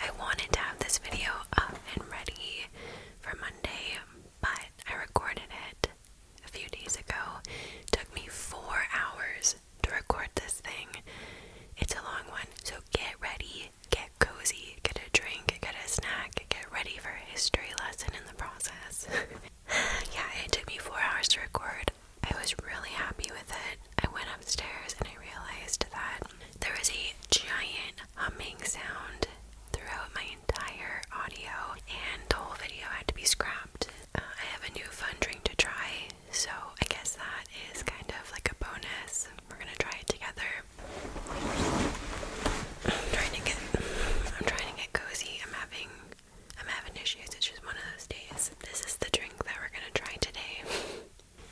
I wanted to have this video up and ready for Monday, but I recorded it a few days ago. took me four hours to record this thing. It's a long one, so get ready, get cozy, get a drink, get a snack, get ready for a history lesson in the process. yeah, it took me four hours to record. I was really happy with it. I went upstairs and I realized that there was a giant humming sound throughout my entire audio, and the whole video had to be scrapped. Uh, I have a new fun drink to try, so I guess that is kind of like a bonus. We're gonna try it together. I'm trying to get, I'm trying to get cozy. I'm having, I'm having issues. It's just one of those days. This is the drink that we're gonna try today.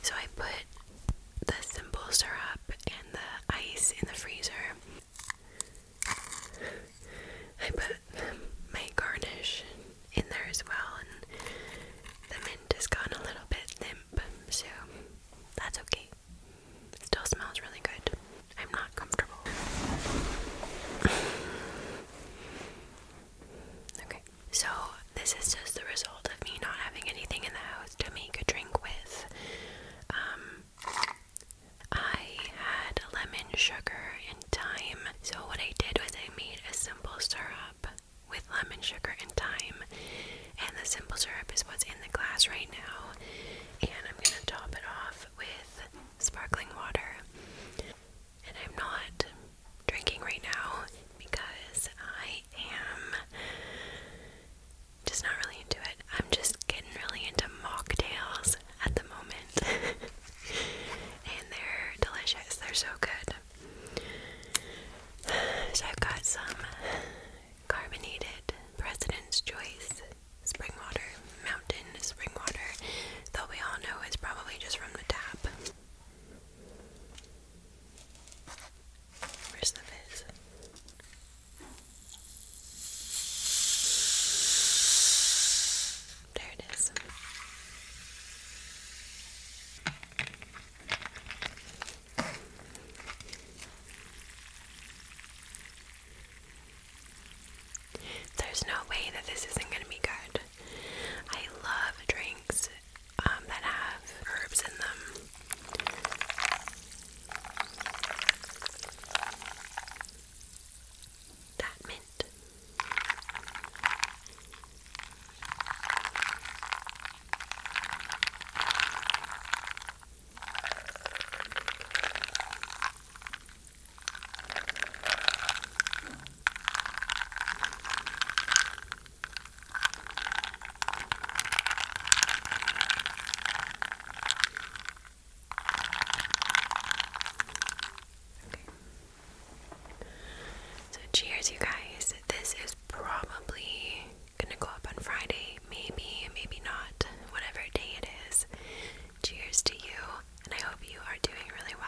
So I put the simple syrup and the ice in the freezer. I put my garnish in there as well, and the mint has gone a little bit limp, so that's okay. It still smells really good. I'm not comfortable. Okay, so this is just the result of me not having anything in the house to make a drink with. Um, I had lemon sugar and thyme, so what I did was I made a simple syrup with lemon sugar and thyme, and the simple syrup is what's in the glass right now. And I'm gonna top it off with sparkling water. And I'm not drinking right now because I I am just not really into it. I'm just getting really into mocktails at the moment. and they're delicious. They're so good. So I've got some carbonated President's Choice spring water, mountain spring water, though we all know it's probably just from the tap. Where's the fizz? There it is. There's no way that this isn't going to be good. I love drinks um, that have herbs in them. That mint. So, cheers, you guys. This is probably gonna go up on Friday, maybe, maybe not, whatever day it is. Cheers to you, and I hope you are doing really well.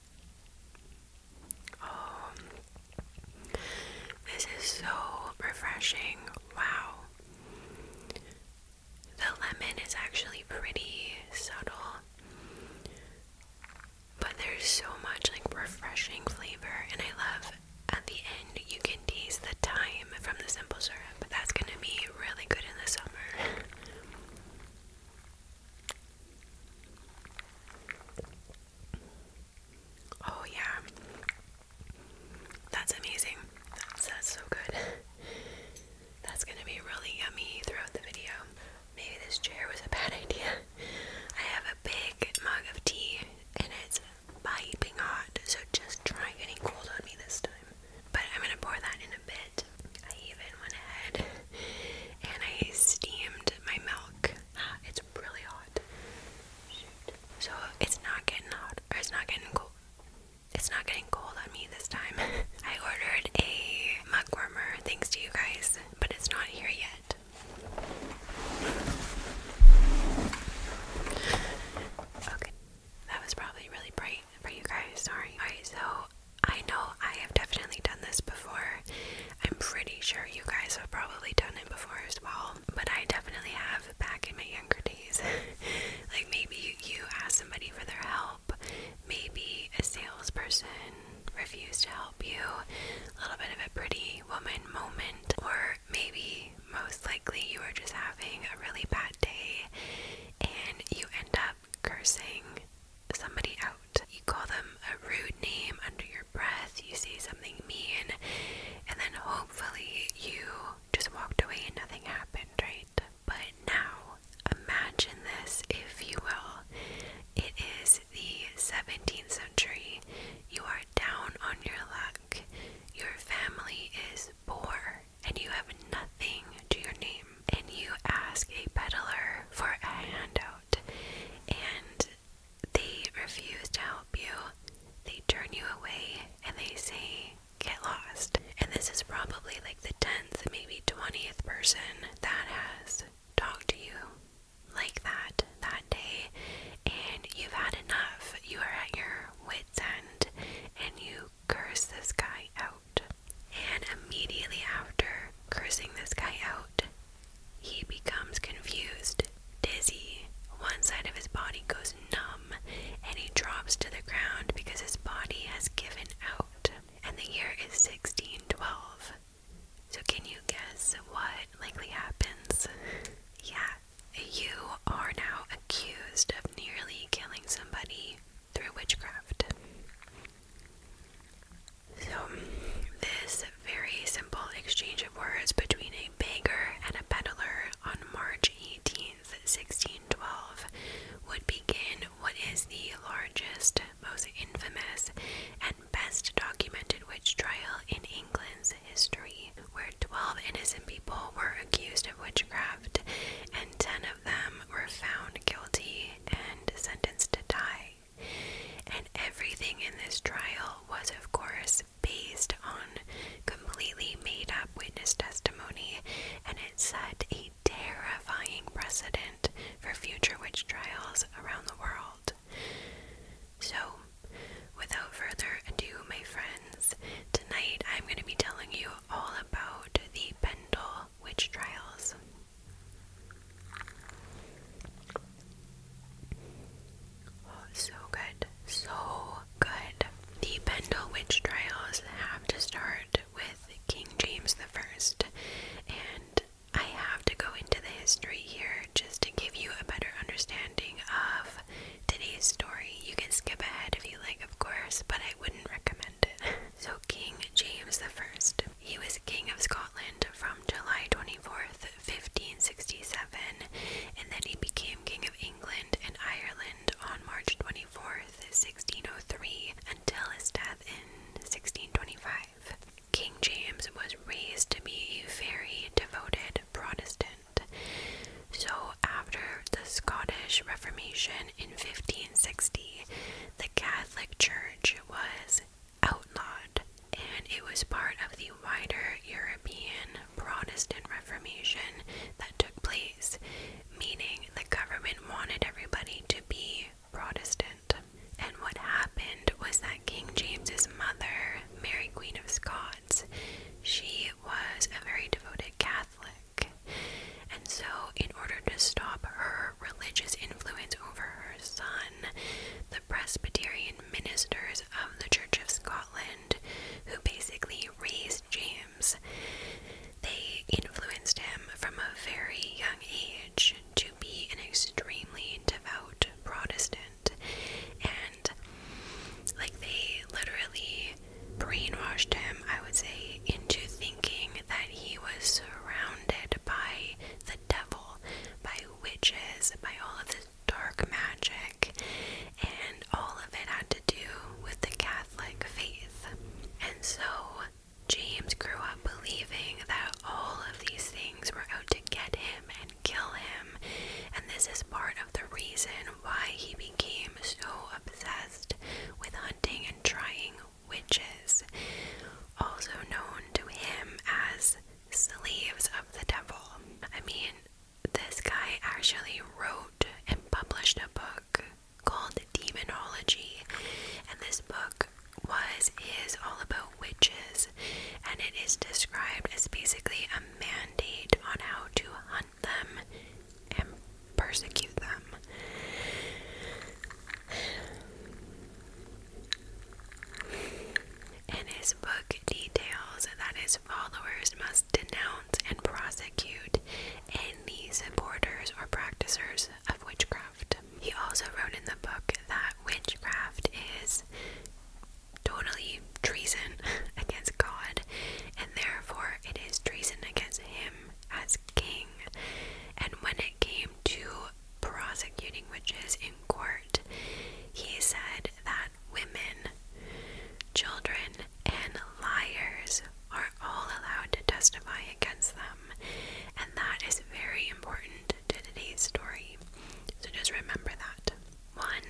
Oh, this is so refreshing. Wow. The lemon is actually pretty subtle, but there's so much like refreshing flavor, and I love at the end you can taste the thyme from the simple syrup. but That's gonna be really good in the summer. Oh, yeah. That's amazing. That's, that's so good. That's gonna be really yummy throughout the video. Maybe this chair was a bad idea. I have a big mug of tea and it's piping hot, so just try getting cold on me this time. But I'm gonna pour that in a bit. I even went ahead and I steamed my milk. Ah, it's it's really hot. So it's not getting hot, or it's not getting cold. It's not getting cold on me this time. I ordered a mug warmer, thanks to you guys, but it's not here yet. Okay, that was probably really bright for you guys. Sorry. Alright, so I know I have definitely done this before, I'm pretty sure you guys have probably done it before as well, but I definitely have back in my younger days. like maybe you, you ask somebody for their help, maybe a salesperson refused to help you, a little bit of a pretty woman moment, or maybe most likely you were just having a really bad day and you end up cursing somebody out you call them a rude name under your breath, you say something mean, and then hopefully you just walked away and nothing happened, right? But now, imagine this, if you will. It is the 17th century. You are down on your luck. Your family is poor, and you have nothing to your name. And you ask a peddler for a handout, and they refuse to help you, they turn you away, and they say, Get lost. And this is probably like the 10th, maybe 20th person that has talked to you like that that day, and you've had enough. You are at your wits' end, and you curse this guy out. And immediately after cursing this guy out, he becomes confused, dizzy, one side of his body goes numb, and he drops to the ground because his body has given out. And the year is 1612. So, can you guess what likely happens? yeah, you are now accused of nearly killing somebody through witchcraft. So, this very simple exchange of words between a beggar and a peddler on March 18th, 1612, would begin what is the largest, most infamous, and best documented witch trial in England's history, where 12 innocent people were accused of witchcraft and 10 of them were found guilty and sentenced to die. And everything in this trial was, of course, based on completely made up witness testimony, and it set a terrifying precedent for future witch trials around the world. So, without further ado, my friends, tonight I'm going to be telling you all about the Pendle witch trials. Oh, so good. So good. The Pendle Witch Trials have to start with King James the First, and I have to go into the history here just to give you a better understanding of today's story. You can skip ahead if you like, of course, but I wouldn't recommend it. So King James the First, he was king of Scotland from July 24th 1567, and then he became King of England and Ireland on March 24, 1603, until his death in 1625. King James was raised to be a very devoted Protestant. So, after the Scottish Reformation in 1560, the Catholic Church was outlawed, and it was part of the wider European Protestant Reformation that took place, meaning the government wanted everybody to be Protestant. And what happened was that King James's mother, Mary Queen of Scots, she was a very devoted Catholic. And so, in order to stop her religious influence over her son, Presbyterian ministers of the Church of Scotland who basically raised James. They influenced him from a very young age to be an extremely devout Protestant. And, like, they literally brainwashed him, I would say, into thinking that he was surrounded by the devil, by witches, by all of this dark magic, and all of it had to do with the Catholic faith. And so James grew up believing that all of these things were out to get him and kill him, and this is part of the reason why he became so obsessed with hunting and trying witches, also known to him as Sleeves of the Devil. I mean, this guy actually wrote and published a book called Demonology, and this book was is all about witches, and it is described as basically a mandate on how to hunt them and persecute them. And his book details that his followers must denounce and prosecute any supporters or practitioners of witchcraft. He also wrote in the book that witchcraft is totally treason against God and therefore it is treason against him as king. And when it came to prosecuting witches in court, he said that women, children, and liars are all allowed to testify against them, and that is very important to today's story. So just remember that. One,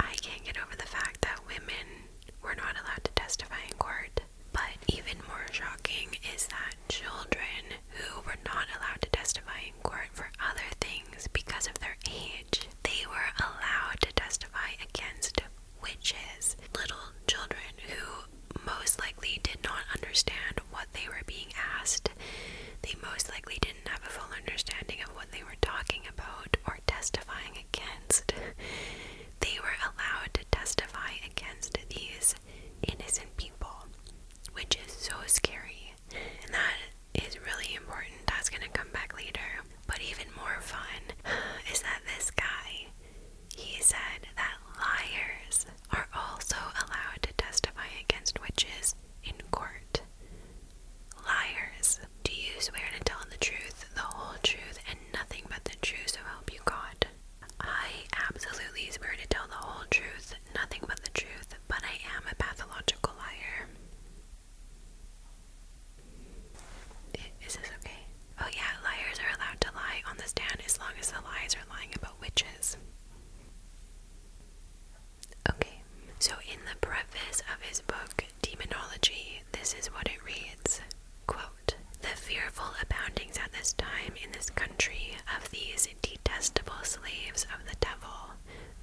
I can't get over the fact that women were not allowed to testify in court. But even more shocking is that children who were not allowed to testify court for other things because of their age. They were allowed to testify against witches, little children who most likely did not understand what they were being asked. They most likely didn't have a full understanding of what they were talking about or testifying against. They were allowed to testify against these innocent people, which is so scary. that is really important. That's gonna come back later. But even more fun is that this guy, he said that liars are also allowed to testify against witches in court. Liars. Do you swear to tell the truth, the whole truth, and nothing but the truth so help you God? I absolutely swear to tell the whole truth, nothing but the truth, but I am a pathological liar. Is this okay? Oh, yeah, liars are allowed to lie on the stand as long as the lies are lying about witches. Okay, so in the preface of his book, Demonology, this is what it reads Quote, The fearful aboundings at this time in this country of these detestable slaves of the devil,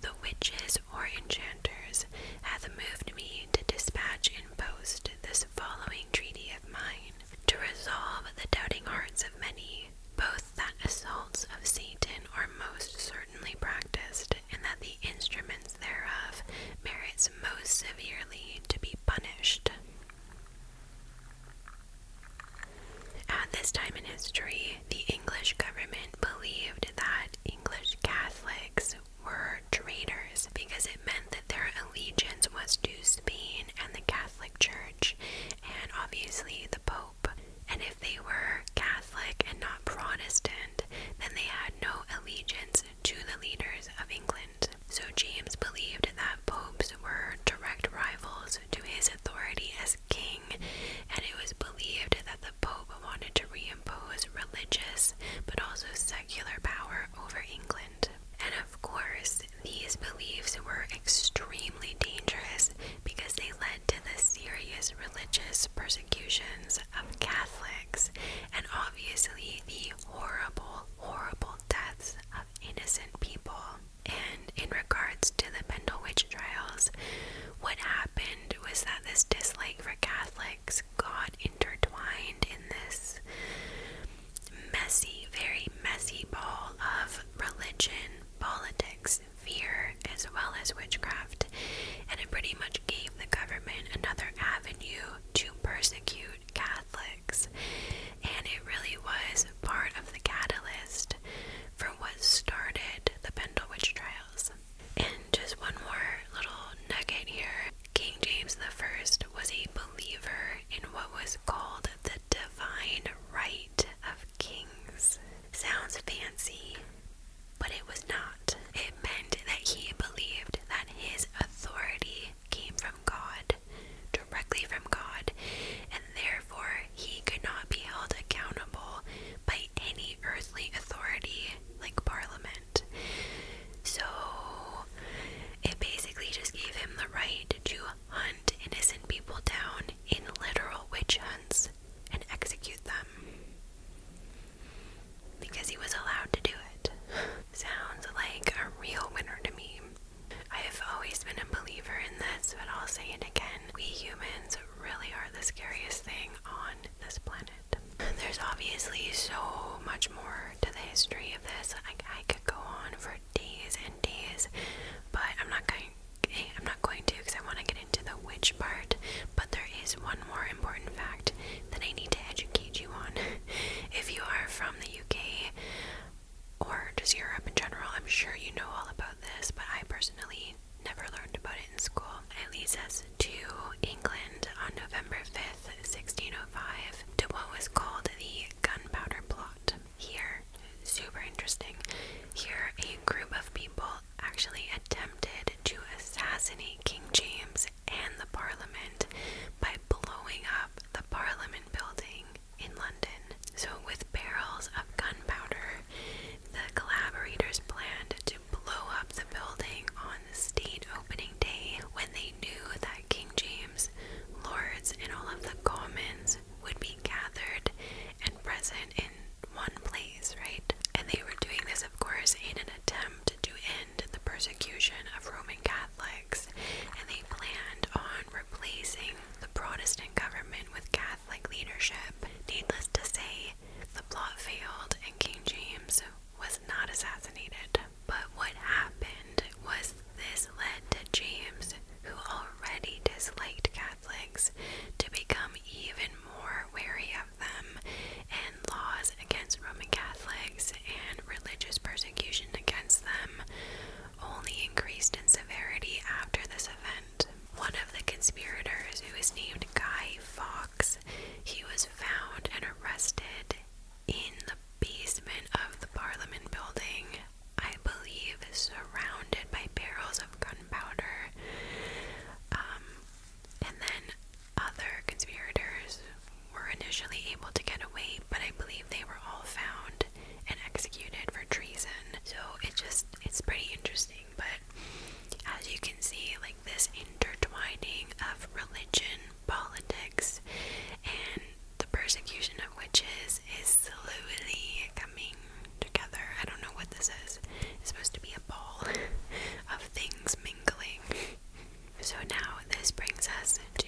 the witches or enchanters, hath moved me to dispatch in post this following treaty of mine, to resolve the doubting hearts of many, both that assaults of Satan are most certainly practiced, and that the instruments thereof merits most severely to be punished. At this time in history, the English government believed that English Catholics were traitors because it meant that their allegiance was to Spain and the Catholic Church, and obviously the Pope. And if they were Catholic and not Protestant, then they had no allegiance to the leaders of England. So James believed that popes were direct rivals to his authority as king, and it was believed that the Pope wanted to reimpose religious but also secular power over England. And of course, these beliefs were extremely dangerous because they led to the serious religious persecutions of Catholics and obviously the horrible, horrible deaths of innocent people. And in regards to the Pendle witch trials, what happened was that this dislike for Catholics got intertwined in this messy, very messy ball of religion, politics, fear, as well as witchcraft, and it pretty much gave the government another avenue to persecute Catholics. And it really was part of the catalyst for what started the Pendle Witch Trials. And just one more little nugget here. King James I was a believer in what was called the divine right of kings. Sounds fancy, but it was not. It meant that he believed that his authority came from God, directly from God, and therefore he could not be held accountable by any earthly authority like Parliament. So it basically just gave him the right to hunt innocent people down in literal witch hunts and execute them because he was allowed to do it. Sounds like a real winner to me. I have always been a believer in this, but I'll say it again. We humans really are the scariest thing on this planet. There's obviously so much more to the history of this. I, could go on for days and days, but I'm not going. Eh, I'm not going to because I want to get into the witch part. But there is one more important fact that I need to educate you on. if you are from the UK or just Europe in general, I'm sure you know all about this, but I personally Never learned about it in school. It leads us to England on November 5th, 1605, to what was called the Gunpowder Plot. Here, super interesting, here a group of people actually attempted to assassinate King James and the Parliament by blowing up the Parliament building in London. So, with barrels of gunpowder, the collaborators planned to blow up the building on the state opening day when they knew that King James, lords, and all of the commons would be gathered and present in one place, right? And they were doing this, of course, in an attempt to end the persecution of Roman Catholics, and they planned on replacing the Protestant government with Catholic leadership. Needless to say, the plot failed and King James was not assassinated. But what happened was this led to James, who already disliked Catholics, to become even more wary of them, and laws against Roman Catholics and religious persecution against them only increased in severity after this event one of the conspirators, who was named Guy Fawkes, he was found and arrested in the basement of the Parliament building, I believe, surrounded by barrels of gunpowder. Um, and then other conspirators were initially able to get away, but I believe they were all found and executed for treason. So it just, it's pretty interesting but as you can see, like this intertwining of religion, politics, and the persecution of witches is slowly coming together. I don't know what this is. It's supposed to be a ball of things mingling. So now this brings us to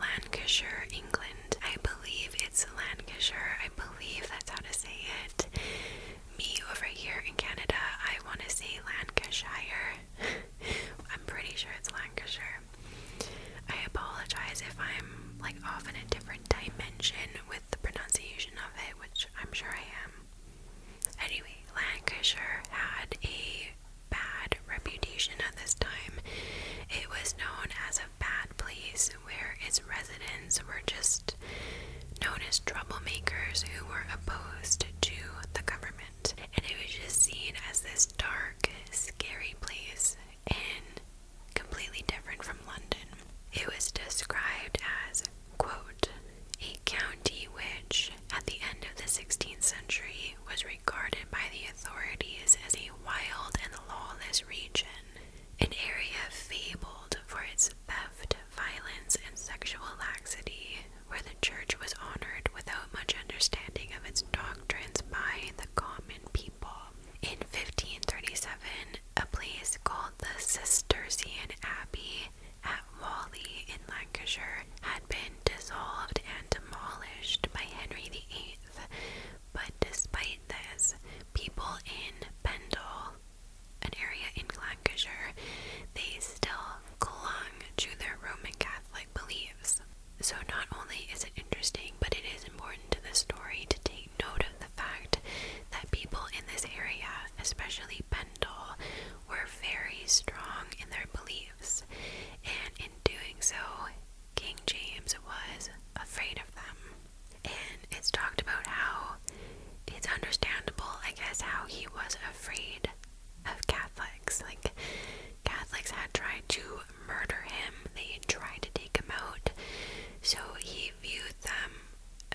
Lancashire, England. I believe it's Lancashire. I believe that's how to say it me over here in Canada, I want to say Lancashire. I'm pretty sure it's Lancashire. I apologize if I'm like off in a different dimension with the pronunciation of it, which I'm sure I am. Anyway, Lancashire had a bad reputation at this time. It was known as a bad place where its residents were just known as troublemakers who were opposed to the government. And it was just seen as this dark, scary place and completely different from London. It was described as, quote, a county which, at the end of the 16th century, was regarded by the authorities as a wild and lawless region, an area fabled for its theft violence, and sexual laxity, where the church was honored without much understanding of its doctrines by the common people. In 1537, a place called the Cistercian Abbey at Whalley in Lancashire had been dissolved and demolished by Henry VIII, but despite this, people in Pendle an area in Lancashire, they still clung to their Roman Catholic beliefs. So, not only is it interesting, but it is important to the story to take note of the fact that people in this area, especially Pendle, were very strong in their beliefs, and in doing so, King James was afraid of them it's talked about how it's understandable, I guess, how he was afraid of Catholics. Like, Catholics had tried to murder him, they had tried to take him out. So he viewed them,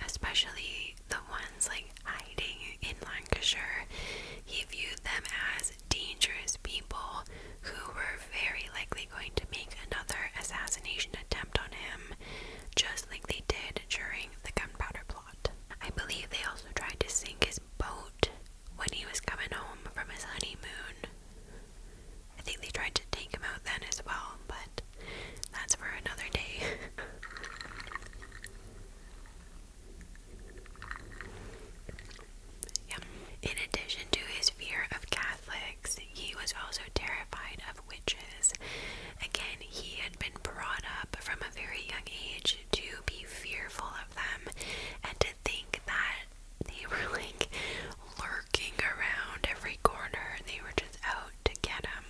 especially the ones like hiding in Lancashire, he viewed them as dangerous people who were very likely going to make another assassination attempt on him, just like they did during the gunpowder plot. I believe they also tried to sink his boat when he was coming home from his honeymoon. I think they tried to take him out then as well, but that's for another day. In addition to his fear of Catholics, he was also terrified of witches. Again, he had been brought up from a very young age to be fearful of them and to think that they were like lurking around every corner and they were just out to get him.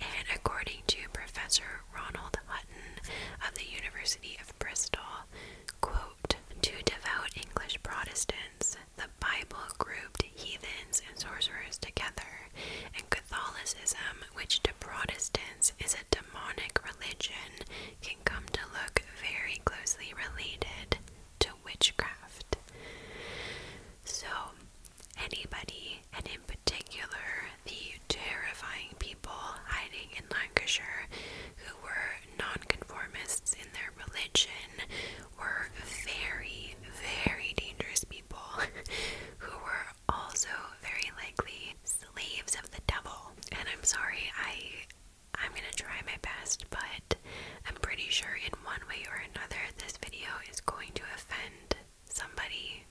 And according to Professor Ronald Hutton of the University of Bristol, quote, to devout English Protestants, the Bible grouped heathens and sorcerers together, and Catholicism, which to Protestants is a demonic religion, can come to look very closely related to witchcraft. So, anybody, and in particular the terrifying people hiding in Lancashire who were nonconformists in their religion, were very, very dangerous people who were also very likely slaves of the devil. And I'm sorry, I I'm going to try my best, but I'm pretty sure in one way or another this video is going to offend somebody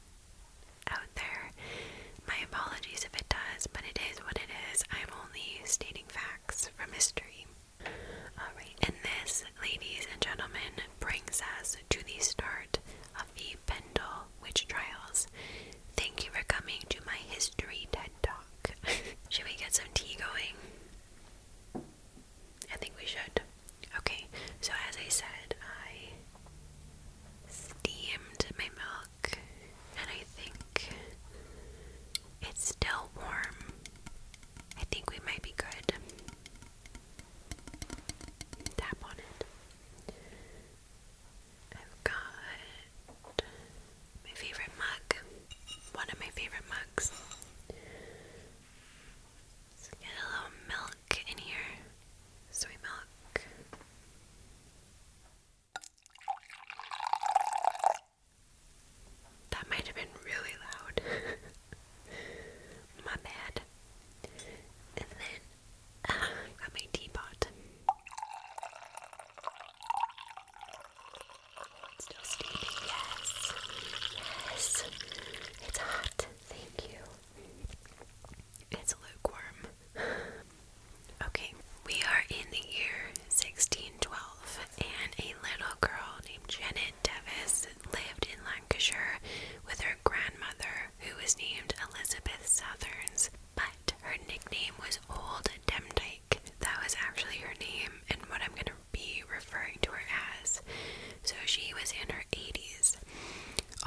out there. My apologies if it does, but it is what it is. I'm only stating facts from history. Alright, and this, ladies and gentlemen, brings us to the start of the Pendle Witch Trials. Thank you for coming to my history TED Talk. should we get some tea going? I think we should. Okay, so as I said, I steamed my milk, and I think it's still warm. I think we might be good tap on it. I've got my favorite mug, one of my favorite mugs. get a little milk in here, soy milk. That might have been really loud. My bad. And then uh, got my teapot. It's still steaming, yes. Yes. It's hot. Thank you. It's lukewarm. Okay, we are in the year 1612, and a little girl named Janet Devis lived in Lancashire with her grandmother, who was named Elizabeth Southerns, but her nickname was Old Demdike. That was actually her name and what I'm going to be referring to her as. So she was in her 80s.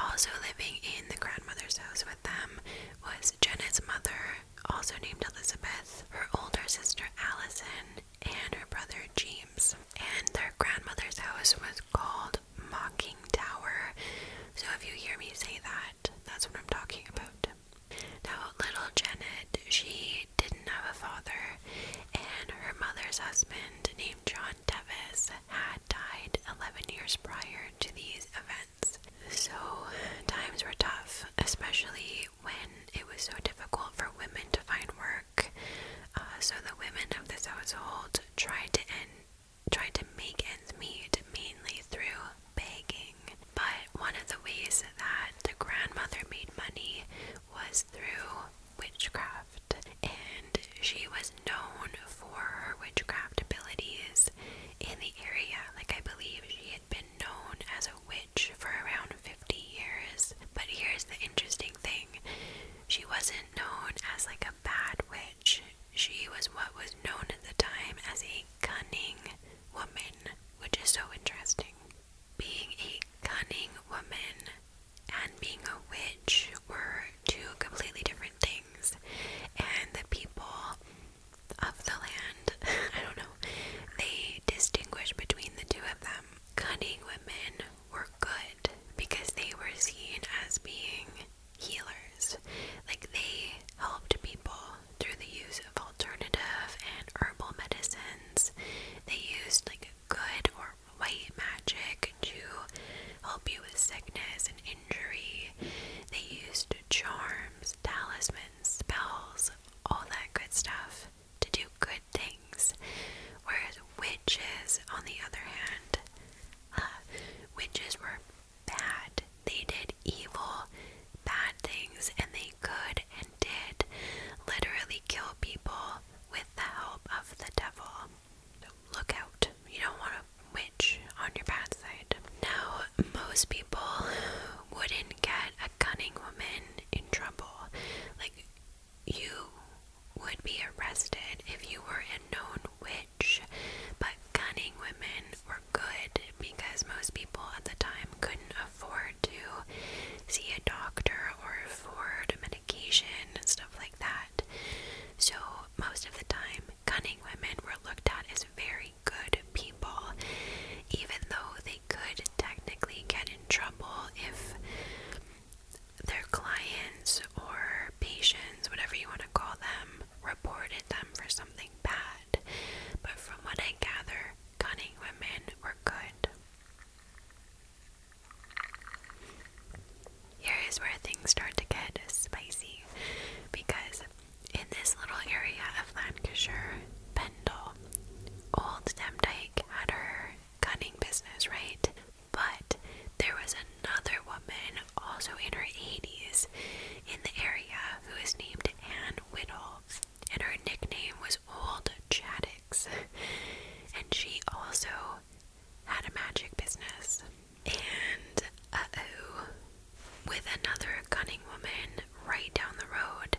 Also living in the grandmother's house with them was Jenna's mother, also named Elizabeth, her older sister Allison, and her brother James. And their grandmother's house was called Mocking Tower. So if you hear me say that, that's what I'm talking about. Now, little Janet, she didn't have a father, and her mother's husband, named John Tevis, had died 11 years prior to these events. So, times were tough, especially when it was so difficult for women to find work uh, so the women of this household tried to end, tried to make ends meet mainly through begging. But one of the ways that the grandmother made money was through witchcraft, and she was known for her witchcraft abilities in the area. Like I believe she had been known as a witch for around 50 years. But here's the interesting thing. She wasn't known as like a bad witch. She was what was known at the time as a cunning woman, which is so interesting. Being a cunning woman and being a witch were two completely different things, and the people of the land, I don't know, they distinguish between the two of them. Cunning women were good because they were seen as being healers. Like they helped people through the use of alternative and herbal medicines. They used like good or white magic to help you with sickness and injury. They used charms, talismans, spells, all that good stuff to do good things. Whereas witches, on the other hand, uh, witches were bad. They did evil, bad things, and they could and did literally kill people with the help of the devil. look out. You don't want a witch on your bad side. Now, most people wouldn't get a cunning woman in trouble. Like, you would be arrested if you were a known witch, but cunning women were good because most people at the time couldn't afford to see a doctor or afford medication and stuff like that. So, most of the time, cunning women were looked at as very good people, even though they could technically get in trouble if their clients or patients, whatever you want to call them, reported them for something bad. But from what I gather, cunning women were good. Here is where things start to get spicy because in this little area of Lancashire, Pendle, old Demdike had her cunning business, right? But there was another woman, also in her 80s, in the area who was named Anne Whittle, and her nickname was Old Chaddix. And she also had a magic business. And uh oh, with another cunning woman right down the road,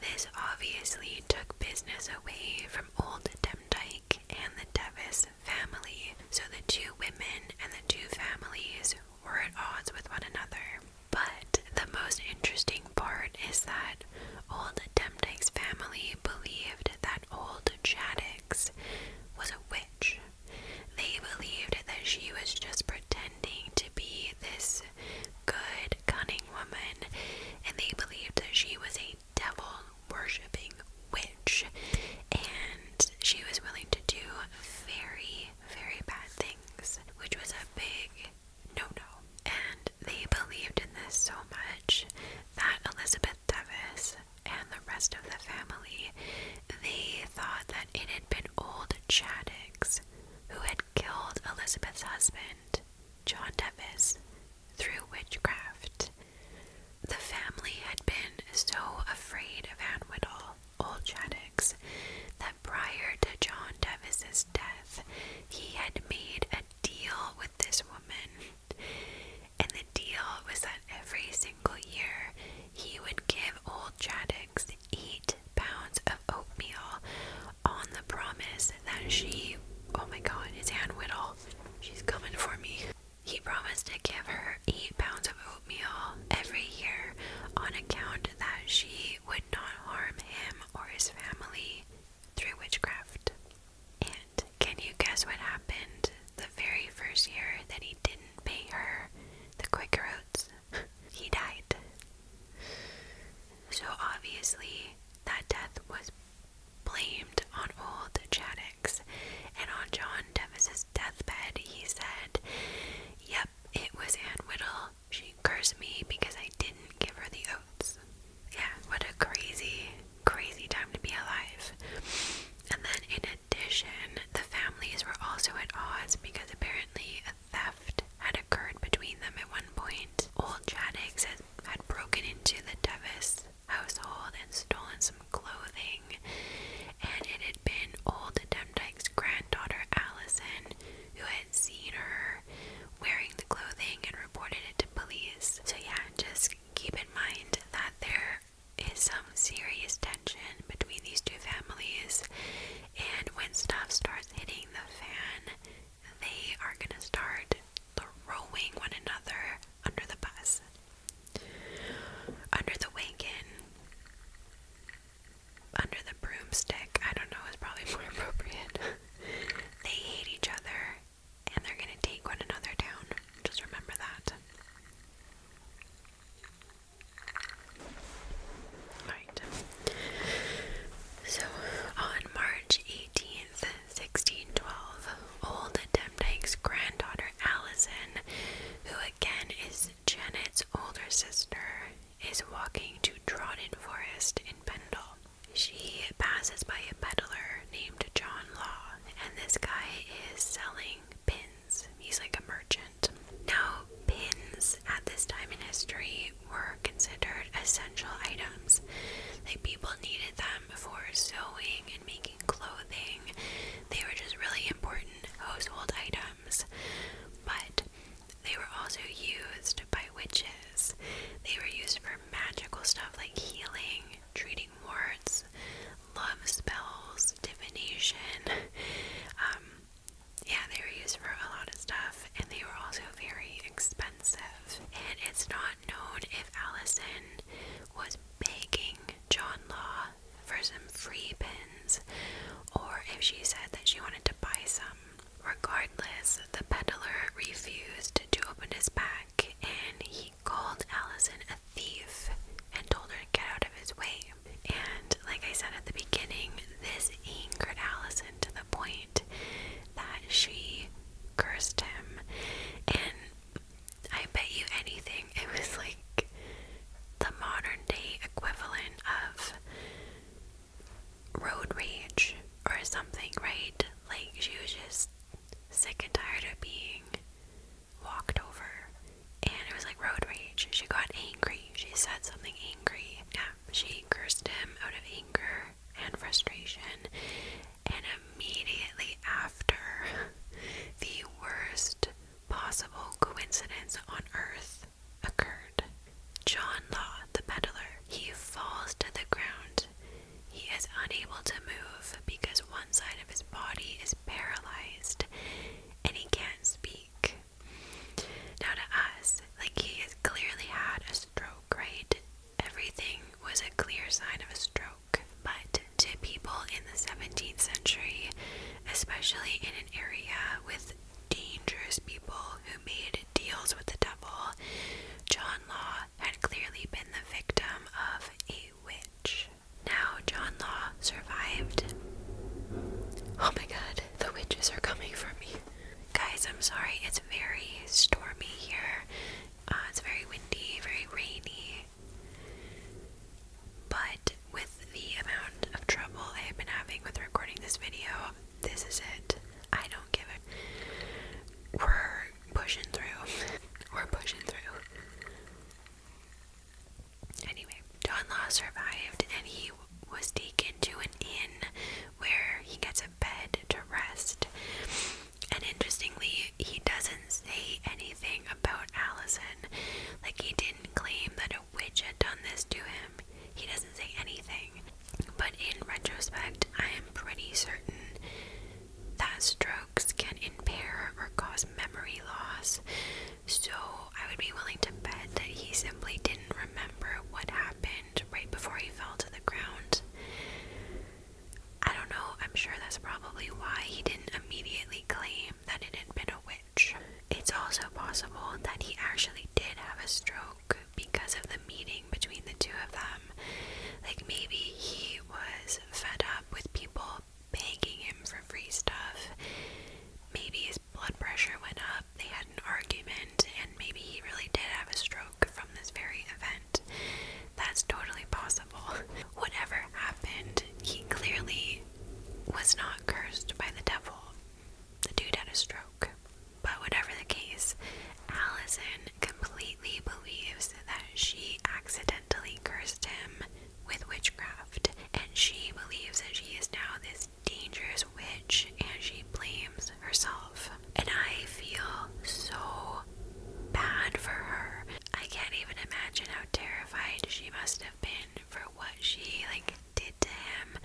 this obviously took business away from Old Demdike and the Devis family, so the two women and the two families were at odds with one another. But the most interesting part is that old Demdike's family believed that old Chaddix was a witch. They believed that she was just pretending to be this good, cunning woman, and they believed that she was a devil worshipping witch, and she was willing to do very, very bad things, which was a big no no. And they believed in this so much that Elizabeth Devis and the rest of the family they thought that it had been old Chaddix who had killed Elizabeth's husband, John Devis, through witchcraft. The family had been so afraid of Anwiddle, old Chaddocks, that prior to John Devis's death, he had made a deal with this woman. And the deal was that every single year he would give old Chaddocks eight pounds of oatmeal on the promise that she oh my god, it's Anne Whittle. She's coming for me. He promised to give her eight pounds of oatmeal every year on account that she would not harm him or his family through witchcraft. And can you guess what happened the very first year that he didn't pay her the oats? he died. So obviously, that death was blamed on old Chaddix, and on John Devis's deathbed, he said, Yep, it was Anne Whittle. She cursed me because I didn't give her the oats. Yeah, what a crazy, crazy time to be alive. And then, in addition, the families were also at odds because apparently a theft had occurred between them at one point. Old Chaddix had, broken into the Devis household and stolen some clothing, and it had been old Demdike's granddaughter Allison who had seen her wearing the clothing and reported it to police. So, yeah, just keep in mind that there is some serious tension between these two families, and when stuff starts hitting the fan, they are gonna start throwing one another under the bus. Under the wagon. Under the broomstick, I don't know, is probably more appropriate. they hate each other and they're gonna take one another down. Just remember that. Alright. So on March 18th, 1612, old Demdike's granddaughter Allison, who again is Janet's older sister, is walking to Trodden Forest in Pendle. She passes by a peddler named John Law, and this guy is selling pins. He's like a merchant. Now, pins at this time in history were considered essential items. Like people needed them for sewing making clothing. They were just really important household items, but they were also used by witches. They were used for magical stuff like healing, treating warts, love spells, divination. Um, yeah, they were used for a lot of stuff, and they were also very expensive. And it's not known if Allison was begging John Law for some free pins, or if she said that she wanted to buy some. Regardless, the peddler refused to open his pack and he called Allison a thief and told her to get out of his way. And like I said at the beginning, this angered Allison to the point that she cursed him. And I bet you anything it was like the modern day equivalent of road rage or something, right? Like she was just sick and tired of being walked over. And it was like road rage. She got angry. She said something angry. Yeah, she cursed him out of anger and frustration and immediately after, the worst possible coincidence on earth occurred. John Law, the peddler, he falls to the ground. He is unable to move because one side of his body is paralyzed and he can't speak. Now, to us, like he has clearly had a stroke, right? Everything was a clear sign of a stroke but to people in the 17th century, especially in an area with dangerous people who made deals with the devil, John Law had clearly been the victim of a witch. Now, John Law survived. Oh my god, the witches are coming for me. Guys, I'm sorry, it's very stormy here. Uh, it's very windy, very rainy. But with the amount of trouble I have been having with recording this video, this is it. I don't give a. We're pushing through. We're pushing through. Anyway, Don Law survived and he was taken to an inn where he gets a bed to rest. And interestingly, he doesn't say anything about Allison. Like he didn't claim that a witch had done this to him. He doesn't say anything. But in retrospect, I am pretty certain that strokes can impair or cause memory loss. So I would be willing to bet that he simply didn't remember what happened right before he fell to the ground. I don't know, I'm sure that's probably why he didn't immediately claim that it had been a witch. It's also possible that he actually did have a stroke because of the meeting between the two of them. Like maybe he was fed up with people begging him for free stuff. Maybe his blood pressure went up, they had an argument, and maybe he really did have a stroke from this very event. That's totally possible. Whatever happened, he clearly was not cursed by the devil. The dude had a stroke. But whatever the case, Allison completely believes that she accidentally cursed him with witchcraft, and she believes that she is now this dangerous witch and she blames herself. And I feel so bad for her. I can't even imagine how terrified she must have been for what she like did to him,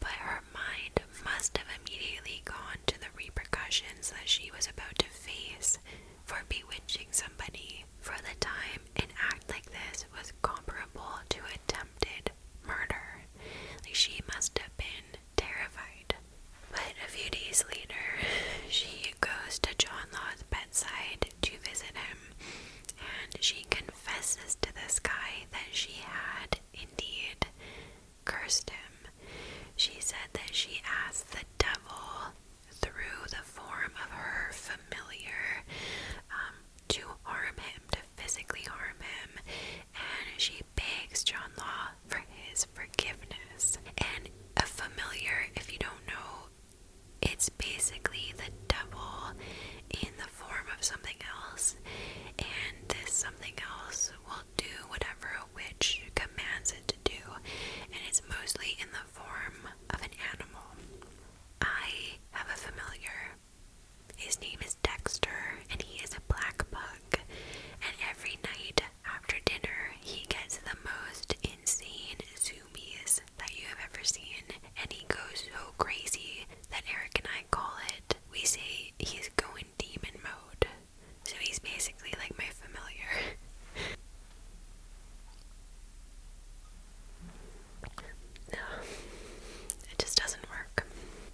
but her mind must have immediately gone to the repercussions that she was about to face for bewitching somebody. For the time, an act like this was comparable to attempted murder. Like she must have been terrified. But a few days later, she goes to John Law's bed to visit him, and she confesses to this guy that she had indeed cursed him. She said that she asked the devil through the form of her familiar um, to harm him, to physically harm him, and she begs John Law for his forgiveness. And a familiar, if you don't know, it's basically the devil in the form of something else, and this something else will do whatever a witch commands it to do, and it's mostly in the form of an animal. I have a familiar. His name is Dexter, and he is a black bug, and every night after dinner, he gets the most insane zoomies that you have ever seen, and he goes so crazy that Eric and I call it. We say he's going demon mode. So he's basically like my familiar. no, it just doesn't work.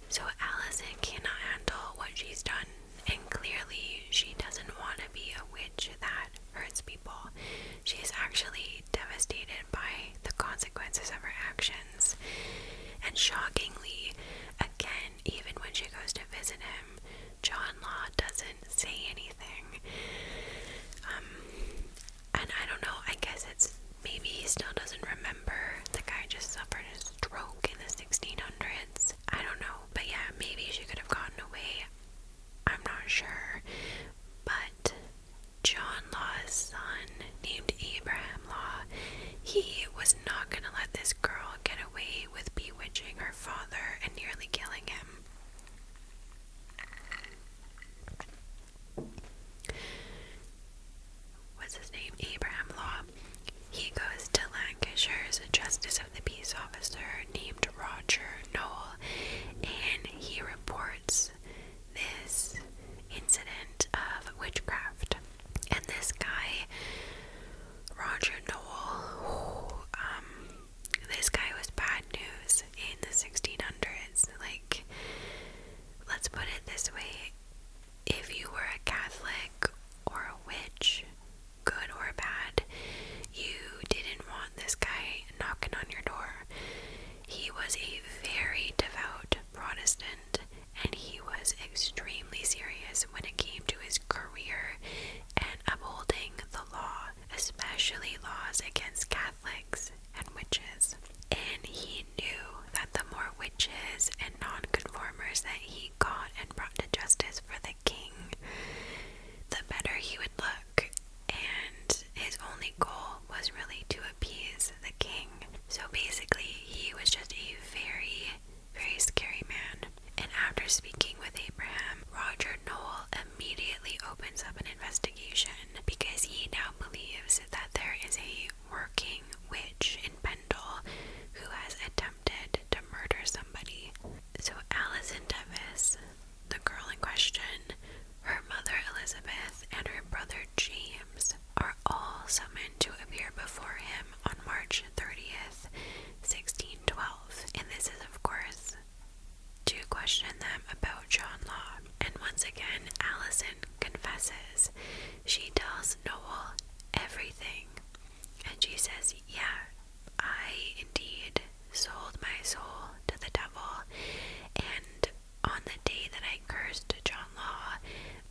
So Allison cannot handle what she's done, and clearly she doesn't want to be a witch message that hurts people. She actually devastated by the consequences of her actions. And shockingly, again, even when she goes to visit him, John Law doesn't say anything. Um, and I don't know, I guess it's maybe he still doesn't remember. The guy just suffered a stroke in the 1600s. I don't know. But yeah, maybe she could have gotten away I'm not sure, but John Law's son, named Abraham Law, he was not going to let this girl get away with bewitching her father and nearly killing him. What's his name? Abraham Law. He goes to Lancashire's justice of the peace officer named Roger Noel, and he reports this incident of witchcraft. And this guy, Roger Noel, um, this guy was bad news in the 1600s. Like, let's put it this way if you were a Catholic or a witch, good or bad, you didn't want this guy knocking on your door. He was a very devout Protestant and he was extremely serious when it came to his career and upholding the law, especially laws against Catholics and witches. And he knew that the more witches and non-conformers that he got and brought to justice for the king, the better he would look and his only goal was really to appease the king. So basically, he was just a very, very scary man. And after speaking with Abraham, Roger Noel immediately opens up an investigation because he now believes that there is a working witch in Pendle who has attempted to murder somebody. So Alison Devis the girl in question, her mother Elizabeth, and her brother James are all summoned to appear before him on March 30th, 1612. And this is, of course, to question them about John Law. And once again, Allison confesses. She tells Noel everything. And she says, Yeah, I indeed sold my soul to the devil, and on the day that I cursed John Law,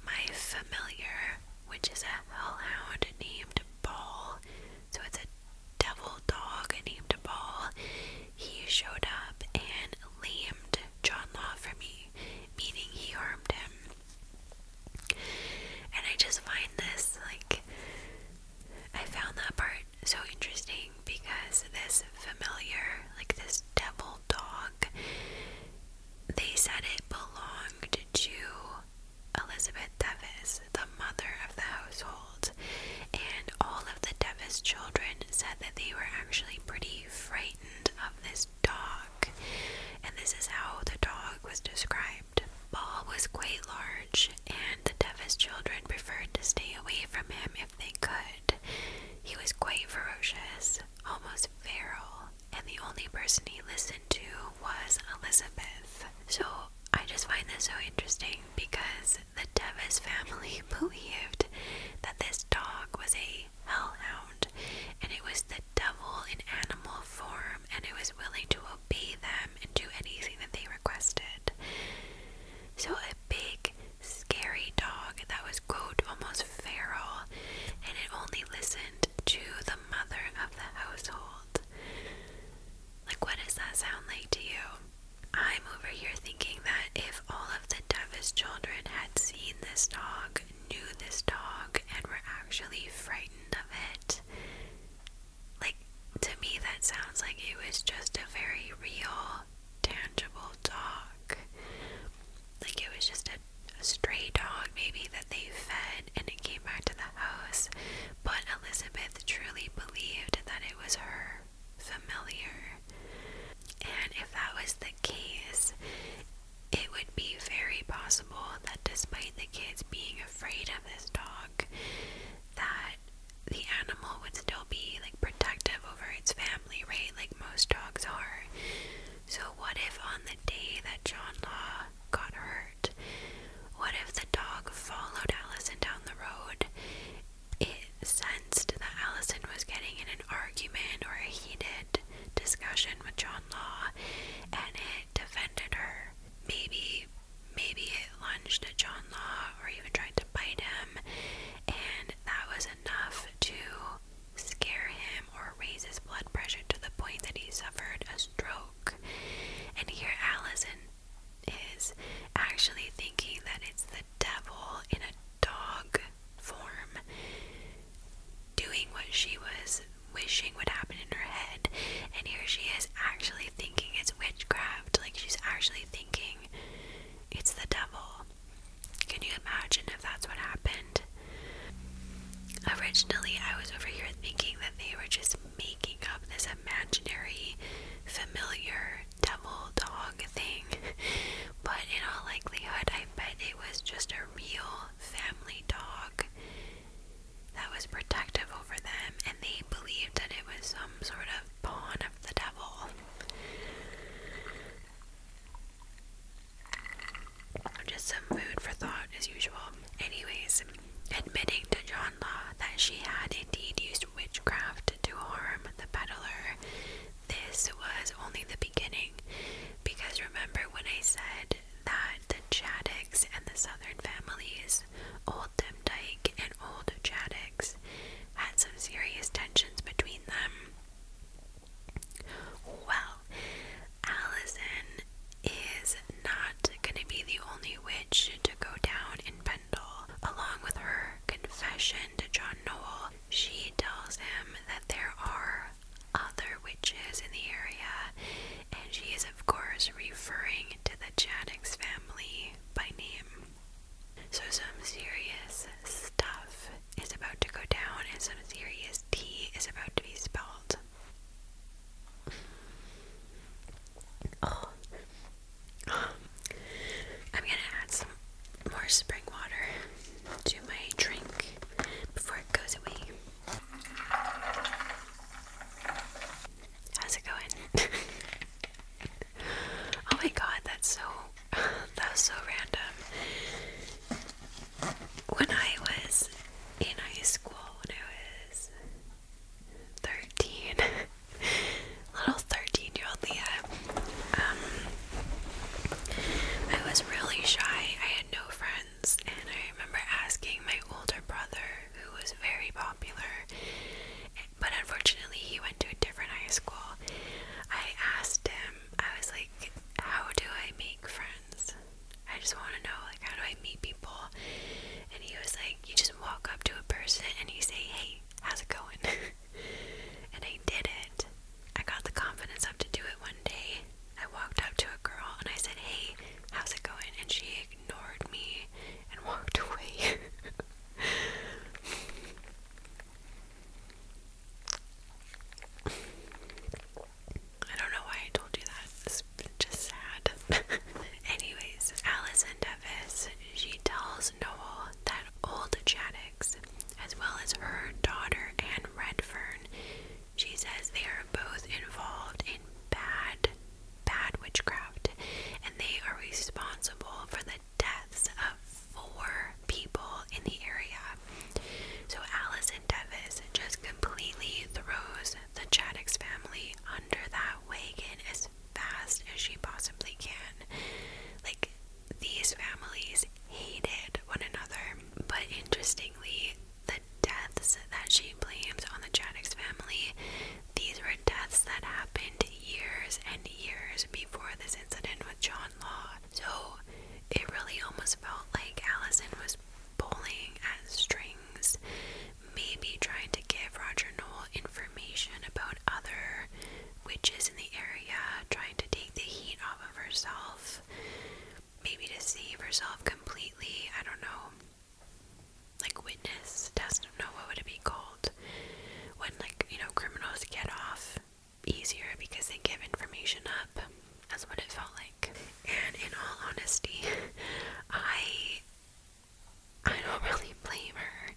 my familiar, which is a hellhound named Ball, so it's a devil dog named Ball, he showed up and lamed John Law for me, meaning he harmed him. And I just find this like I found that part so interesting because this familiar, like this devil dog, they said it belonged to Elizabeth Devis, the mother of the household. And all of the Devis children said that they were actually pretty frightened of this dog. And this is how the dog was described. Ball was quite large, and the Devis children preferred to stay away from him if they could. He was quite ferocious, almost feral, and the only person he listened to was Elizabeth. So I just find this so interesting because the Devis family believed that this dog was a hellhound and it was the devil in animal form and it was willing to obey them and do anything that they requested. So, a big, scary dog that was, quote, almost feral, and it only listened to the mother of the household. Like, what does that sound like to you? I'm over here thinking that if all of the deafest children had seen this dog, knew this dog, and were actually frightened of it, like, to me, that sounds like it was just a very real tangible dog. Like it was just a, stray dog, maybe, that they fed and it came back to the house. But Elizabeth truly believed that it was her familiar. And if that was the case, it would be very possible that despite the kids being afraid of this dog, that the animal would still be like protective over its family, right? Like most dogs are. So, what if on the day that John Law got hurt, what if the dog followed Allison down the road? It sensed that Allison was getting in an argument or a heated discussion with John Law and it defended her. Maybe, maybe lunged at John Law or even tried to bite him, and that was enough to scare him or raise his blood pressure to the point that he suffered a stroke. And here Allison is actually thinking that it's the devil in a dog form doing what she was wishing would happen in her head. And here she is actually thinking it's witchcraft. Like she's actually thinking it's the devil. Can you imagine if that's what happened? Originally, I was over here thinking that they were just making up this imaginary, familiar devil dog thing, but in all likelihood, I bet it was just a real family dog that was protective over them, and they believed that it was some sort of pawn of the devil. Just some food for thought, as usual. Anyways, admitting to John Law that she had indeed used witchcraft to harm the peddler, this was only the beginning. Because remember when I said that the Chaddocks and the Southern families, Old Demdike and and old Chaddix had some serious tensions between them. Well, Allison is not going to be the only witch to go down in Pendle. Along with her confession to John Noel, she tells him that there are other witches in the area, and she is, of course, referring to the Chaddix family by name. So, some serious stuff is about to go down, and some serious T is about to be spilled. oh. I'm gonna add some more spring water to my drink before it goes away. How's it going? Oh my god, that's so that so random. When I was in high school, when I was 13, little 13 year old Leah, um, I was really shy. I had no friends, and I remember asking my older brother, who was very popular, but unfortunately, he went to a different high school. I asked him, I was like, How do I make friends? I just want to know, like, how do I meet people? And he was like, You just walk up to a person and you say, Hey, how's it going? and I did it. I got the confidence up to do it one day. I walked up to a girl and I said, Hey, how's it going? And she ignored me and walked away. I don't know why I told you that. It's just sad. Anyways, Allison Devis, she tells Noel that old Chaddix, as well as her daughter and Redfern, she says they are both involved in bad, bad witchcraft, and they are responsible for the deaths of four people in the area. So Allison Devis just completely throws the Chaddix family under that wagon as fast as she possibly can. Like, these families hated one another, but interestingly, the deaths that she blames on the Chaddix family, these were deaths that happened years and years before this incident with John Law. So it really almost felt like Allison was pulling at strings, maybe trying to give Roger Noel information about other witches in the area, trying to take the heat off of herself, maybe deceive herself completely. I don't know. Like witness testimony don't know what would it be called when like you know criminals get off easier because they give information up. That's what it felt like. And in all honesty, I I don't really blame her.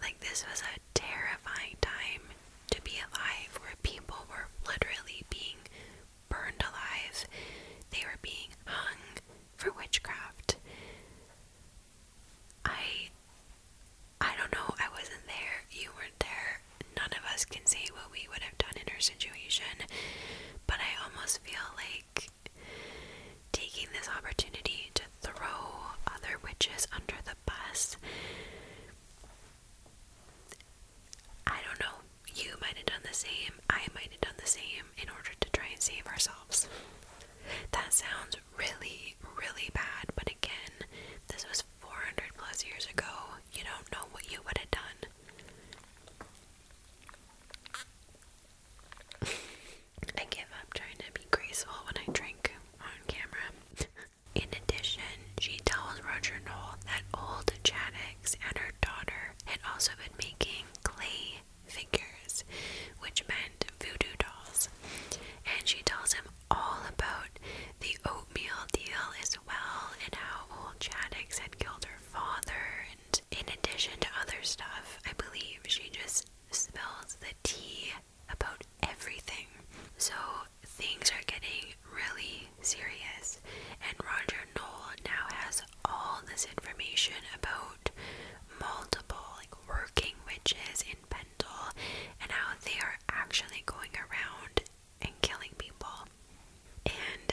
Like this was a terrifying time to be alive where people were literally being burned alive. They were being hung for witchcraft. I I don't know, I wasn't there, you weren't there. None of us can say what we would have done in her situation, but I almost feel like taking this opportunity to throw other witches under the bus. I don't know, you might have done the same, I might have done the same in order to try and save ourselves. That sounds really, really bad. But again, this was 400 plus years ago. You don't know what you would have done. I give up trying to be graceful when I drink on camera. In addition, she tells Roger Knoll that old Chaddix and her daughter had also been making clay figures, which meant voodoo dolls. And she tells him all about the oatmeal deal as well and how old Chaddix had killed her father. And in addition to other stuff, I believe she just spills the tea about everything. So things are getting really serious, and Roger Knoll now has all this information about multiple like working witches and Pendle and how they are actually going around and killing people. And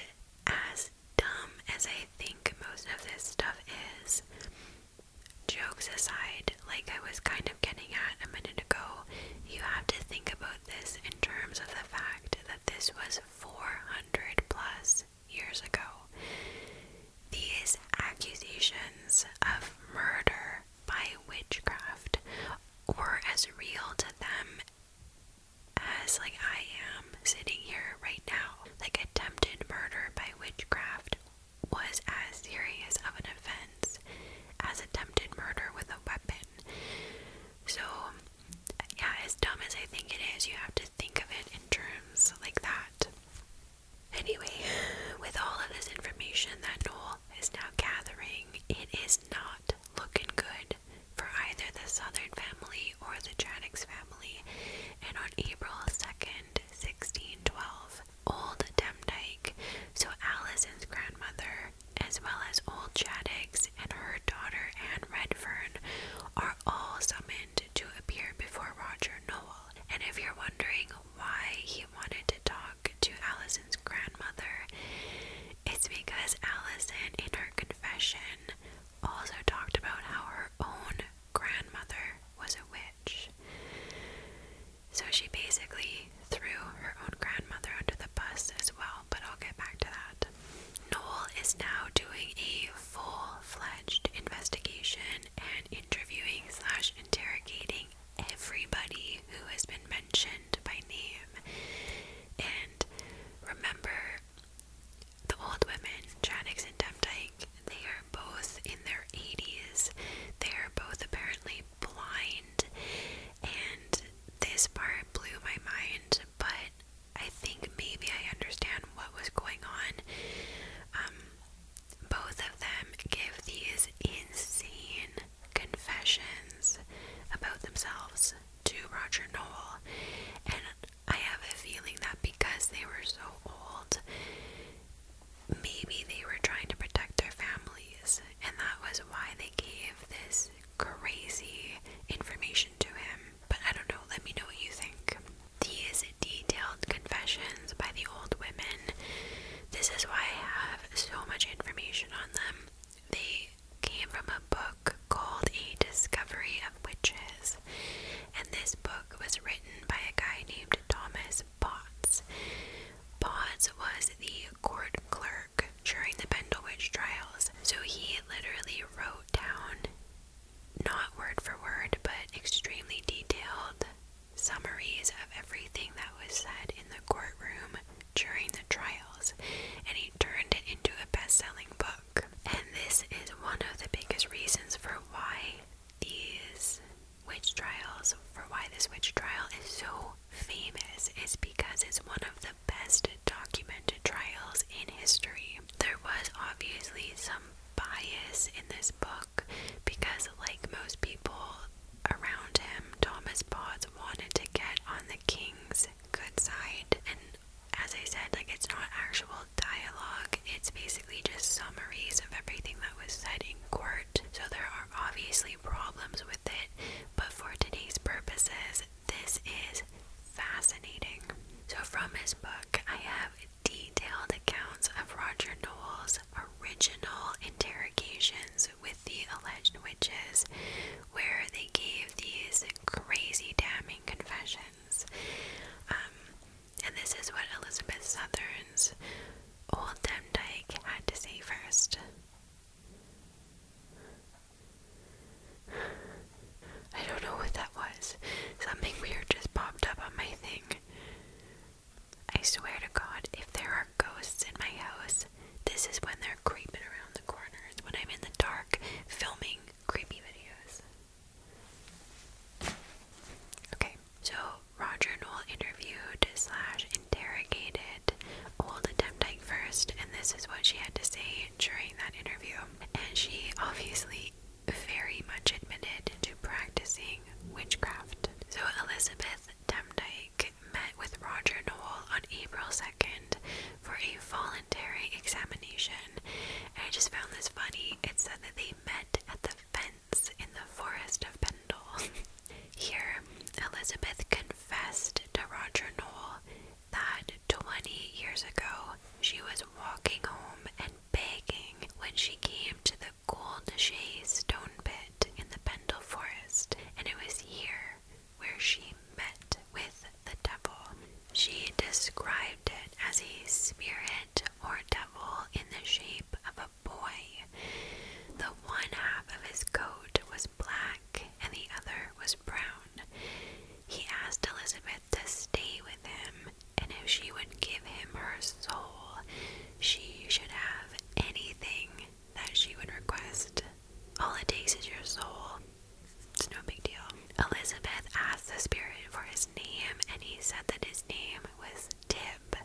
as dumb as I think most of this stuff is, jokes aside, like I was kind of getting at a minute ago, you have to think about this in terms of the fact that this was 400 plus years ago. These accusations of murder by witchcraft were as real to them as like I am sitting here right now. Like attempted murder by witchcraft was as serious of an offense as attempted murder with a weapon. So yeah, as dumb as I think it is, you have to think of it in terms like that. Anyway, with all of this information that Noel is now gathering, it is not looking good for either the Southern family or the Chaddix family, and on April 2nd, 1612, old Demdike, so Alison's grandmother, as well as old Chaddix and her daughter Anne Redfern, are all summoned to appear before Roger Noel. And if you're wondering why he wanted to talk, to Allison's grandmother, it's because Allison, in her confession, also talked about how her own grandmother was a witch. So she basically threw her own grandmother under the bus as well, but I'll get back to that. Noel is now doing a full fledged investigation and interviewing slash interrogating everybody who has been mentioned by name. And remember, the old women, Janix and Demdike, they are both in their 80s. They are both apparently blind. And this part blew my mind, but I think maybe I understand what was going on. Um, both of them give these insane confessions about themselves to Roger Noel, and I have a feeling that because they were so old, maybe they were trying to protect their families, and that was why they gave this crazy information to him. But I don't know, let me know what you think. These detailed confessions by the old women. This is why I have so much information on them. They came from a book called A Discovery of Witches, and this book was written by a guy named Thomas Potts. Potts was the court clerk during the Pendle Witch trials, so he literally wrote down, not word for word, but extremely detailed summaries of everything that was said in the courtroom during the trials, and he turned it into a best selling book. And this is one of the biggest reasons for why these witch trials, for why this witch trial is so famous, is because it's one of the best documented trials in history. There was obviously some bias in this book because, like most people around him, Thomas Potts wanted to get on the king's good side. And as I said, like it's not actual dialogue, it's basically just summaries of everything that was said in court. So there are obviously problems with it, but for today's purposes, this is fascinating. So, from his book, I have detailed accounts of Roger Noel's original interrogations with the alleged witches, where they gave these crazy damning confessions. Um, and this is what Elizabeth Southern's old Demdike had to say first. I don't know what that was. Something weird just popped up on my thing. I swear to God, if there are ghosts in my house, this is when they're creeping around the corners when I'm in the dark filming creepy videos. Okay, so Roger Noel interviewed slash interrogated old Demdike first, and this is what she had to say during that interview. And she obviously very much admitted to practicing witchcraft. So Elizabeth Demdike met with Roger Noel on April 2nd for a voluntary examination, and I just found this funny. It said that they met at the fence in the forest of Pendle. Here, Elizabeth confessed to Roger Noel that 20 years ago she was walking home and begging when she came to the Gold Shea stone pit in the Pendle Forest, and it was here where she met with the devil. She described it as a spirit or devil in the shape of a boy. The one half of his coat was black and the other was brown. He asked Elizabeth to stay with him, and if she would give him her soul, she should have anything that she would request. All it takes is your soul. It's no big deal. Elizabeth asked the spirit for his name, and he said that his name was Tib.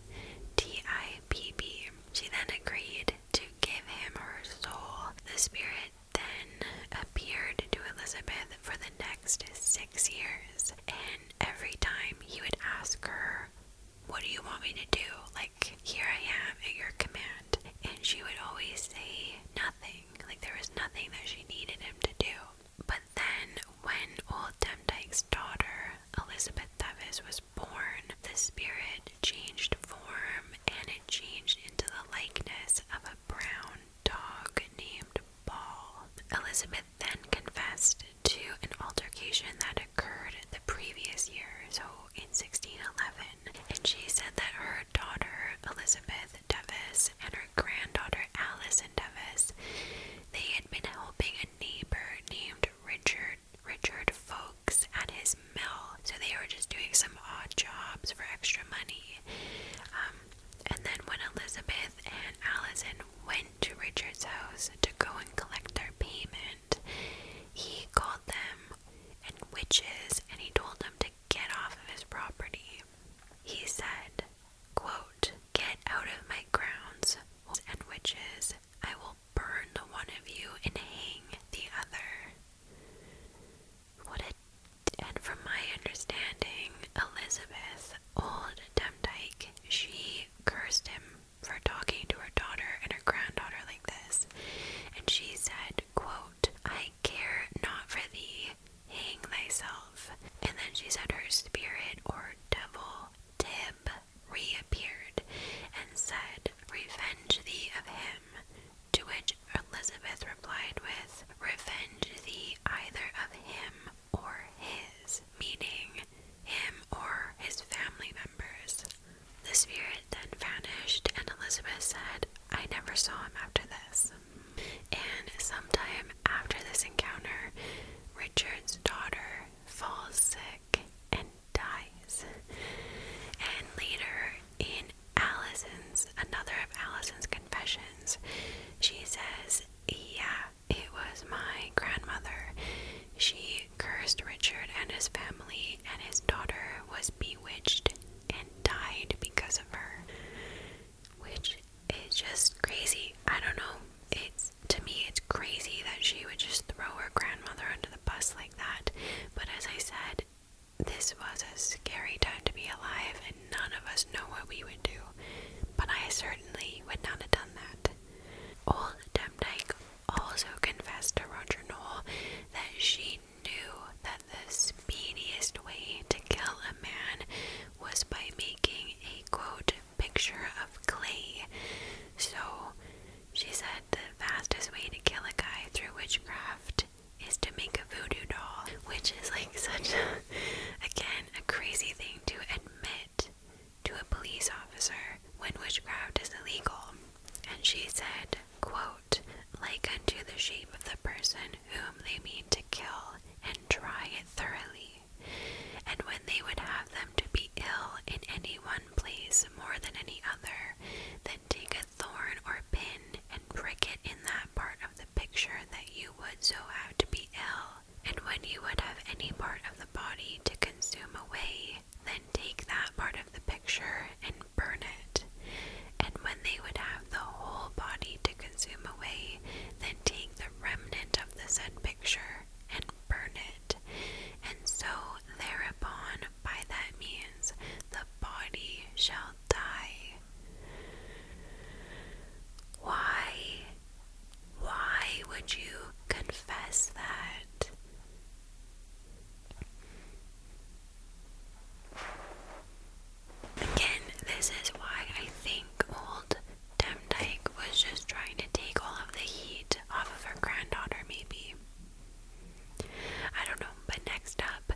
T I P B. She then agreed to give him her soul. The spirit then appeared to Elizabeth for the next six years, and every time he would ask her what do you want me to do? Like, here I am at your command. And she would always say nothing. Like, there was nothing that she needed him to do. But then, when old Demdike's daughter, Elizabeth Thevis, was born, the spirit changed form and it changed into the likeness of a brown dog named Ball. Elizabeth then confessed to an altercation that occurred the previous year, so in 1611, and she said that her daughter Elizabeth Devis and her granddaughter Alison Devis, they had been helping a neighbor named Richard Richard Folks at his mill, so they were just doing some odd jobs for extra money. Um, and then when Elizabeth and Alison went to Richard's house to go and collect their payment, he called them and witches and he told them to get off of his property. He said, quote, Get out of my grounds and witches, I will burn the one of you and hang the other. What a and from my understanding, Elizabeth, old Demdike, she cursed him for talking to her daughter and her granddaughter like this. And she said, quote, I care not for thee, hang thyself. And then she said her spirit or devil, Tib, reappeared and said, Revenge thee of him. To which Elizabeth replied with, Revenge thee either of him or his, meaning him or his family members. The spirit then vanished, and Elizabeth said, I never saw him after this. And sometime after this encounter, Richard's daughter falls sick and dies. And later, in Allison's, another of Allison's confessions, she says, Yeah, it was my grandmother. She cursed Richard and his family, and his daughter was bewitched and died because of her. Which is just crazy. I don't know. It's to me, it's crazy that she would just throw her grandmother under the bus like that. But as I said, this was a scary time to be alive, and none of us know what we would do. But I certainly would not have done that. Old Demdike also confessed to Roger Noel that she knew that the speediest way to kill a man was by making a quote picture of clay. So she said the fastest way to kill a guy through witchcraft is to make a voodoo doll, which is like such a, again, a crazy thing to admit to a police officer when witchcraft is illegal, and she said, quote, like unto the shape of the person whom they mean to kill, and try it thoroughly. And when they would have them to be ill in any one place more than any other, then take a thorn or pin and prick it in that part of the picture that you would so have to be ill. And when you would have any part of the body to consume away, then take that part of the picture and burn it. And when they would have the whole body to consume away, then take the remnant of the said picture and burn it. And so thereupon, by that means, the body shall die. Why? Why would you confess that? Again, this is why I think old Demdike was just trying to take all of the heat off of her granddaughter, maybe. I don't know, but next up,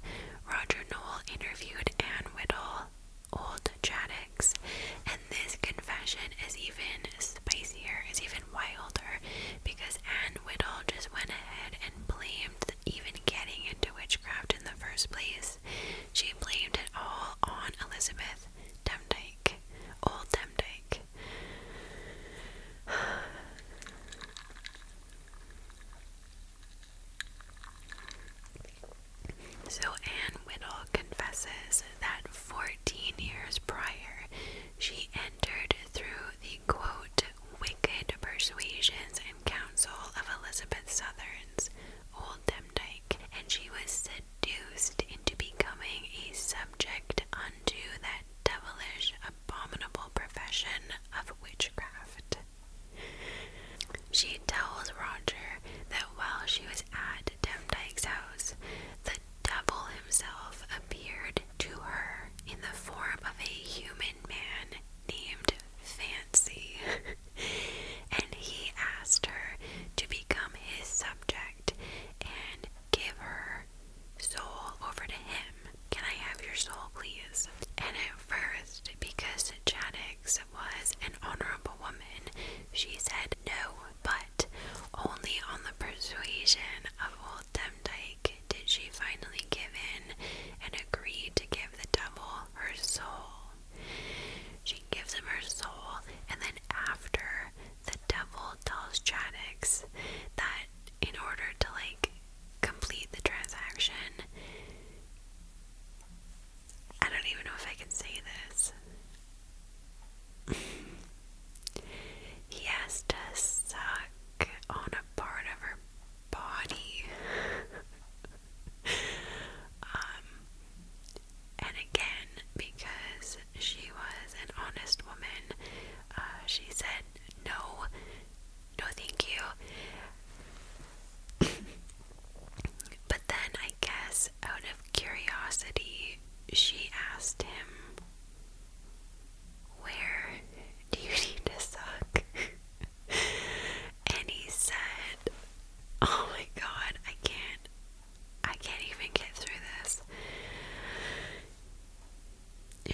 Roger Noel interviewed Anne Whittle, old Chaddix, and this confession is even spicier, is even wilder, because Anne Whittle just went ahead and blamed even getting into witchcraft in the first place. She blamed it all on Elizabeth Demdike, old Demdike. So Anne Whittle confesses that 14 years prior she entered through the quote wicked persuasions and counsel of Elizabeth Southern's old Demdike, and she was seduced into becoming a subject unto that devilish, abominable profession of witchcraft. She tells Roger that while she was at Demdike's house, the devil himself appeared to her in the form of a human man named Fancy, and he asked her to become his subject and give her soul over to him. Can I have your soul, please? And at first, because Chaddix was an honorable woman, she said no, but only on the persuasion of told did she finally give in and agree to give the devil her soul. She gives him her soul, and then after, the devil tells Chaddix that in order to like complete the transaction, I don't even know if I can say this. He has to suck on a part of her body. Um, and again, because she was an honest woman, uh, she said, No, no, thank you. but then, I guess, out of curiosity, she asked him where do you need to suck? and he said, Oh my god, I can't. I can't even get through this.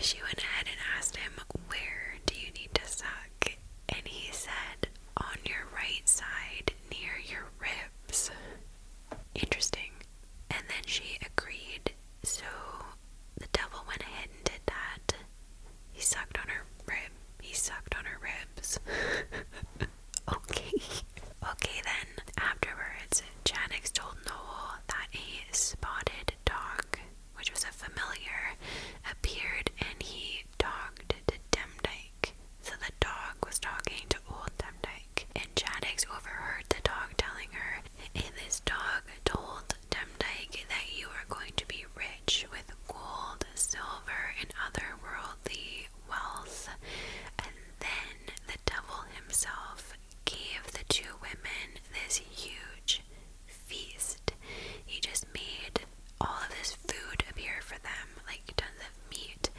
She went ahead and asked him, Where do you need to suck? And he said, On your right side, near your ribs. Interesting. And then she agreed, so the devil went ahead and did that. He sucked on her rib. He sucked on her ribs. okay. Okay, then. Afterwards, Janix told Noel that a spotted dog, which was a familiar, appeared and he talked to Demdike. So the dog was talking to old Demdike. And Janix overheard the dog telling her and this dog told Demdike that you are going to be rich with gold, silver, and other worldly wealth. And then the devil himself gave the two women this huge feast. He just made all of this food appear for them, like tons of meat,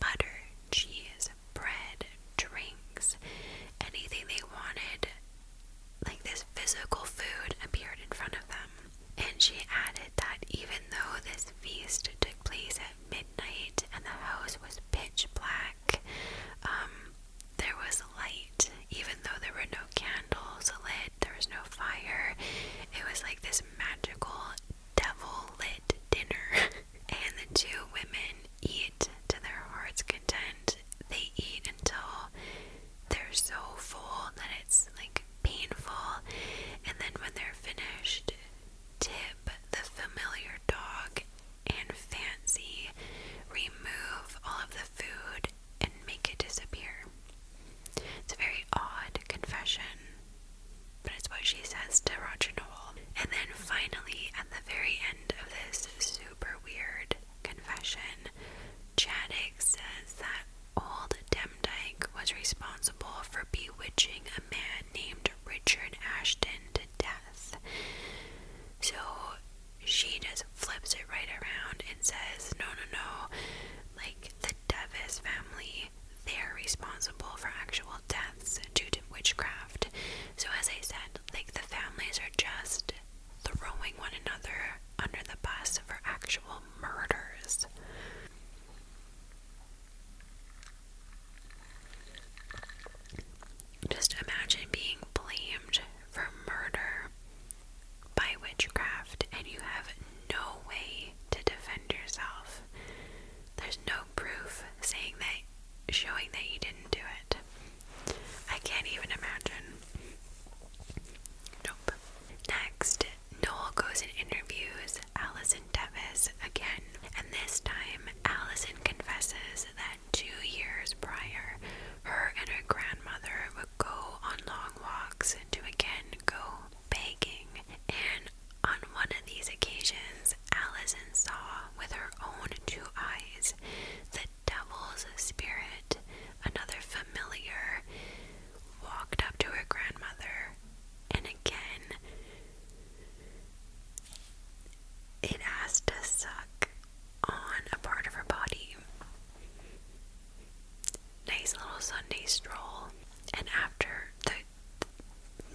butter, cheese, bread, drinks, anything they wanted, like this physical food appeared in front of them. And she added that even though this feast took place at midnight and the house was pitch black, um, there was light. Even though there were no candles lit, there was no fire. It was like this magical devil lit dinner. and the two women eat to their heart's content. They eat until they're so full that it's like painful, and then when they're finished, tip the familiar dog and fancy, remove all of the food, and make it disappear. It's a very odd confession, but it's what she says to Roger Noel. And then finally, at the very end of this super weird confession, Chaddick says that old Demdike was responsible for bewitching a man named Richard Ashton to death. So she just flips it right around and says, No, no, no. Like the Devis family, they're responsible for actual deaths due to witchcraft. So, as I said, like the families are just throwing one another under the bus for actual murders. Just imagine being blamed for murder by witchcraft, and you have no way to defend yourself. There's no proof saying that showing that you didn't do it. I can't even imagine. Nope. Next, Noel goes and interviews Allison Devis again, and this time Allison confesses that two years prior, her and her grandmother would go on long walks to again go begging, and on one of these occasions, Allison saw with her own two eyes that devil's spirit, another familiar, walked up to her grandmother, and again it has to suck on a part of her body. Nice little Sunday stroll, and after the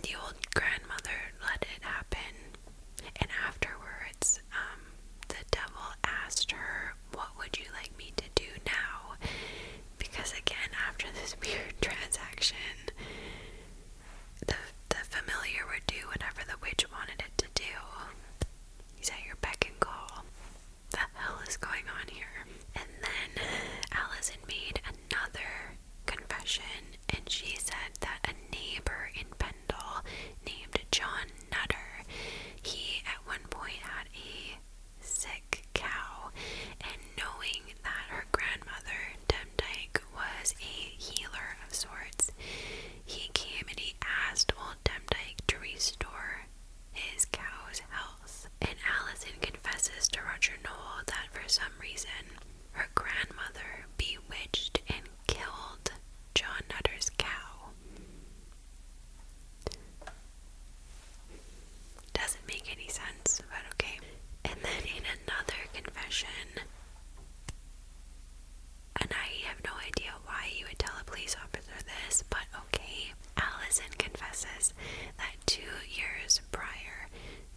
the old grandmother let it happen, and afterwards. Um, the devil asked her, What would you like me to do now? Because again, after this weird transaction, the, the familiar would do whatever the witch wanted it to do. He's at your beck and call. The hell is going on here? And then Allison made another confession, and she said that a neighbor in Penn named John Nutter. He at one point had a sick cow, and knowing that her grandmother, Demdike, was a healer of sorts, he came and he asked old Demdike to restore his cow's health. And Allison confesses to Roger Noel that for some reason her grandmother bewitched and killed John Nutter's cow. Doesn't make any sense, but okay. And then in another confession, and I have no idea why you would tell a police officer this, but okay. Allison confesses that two years prior,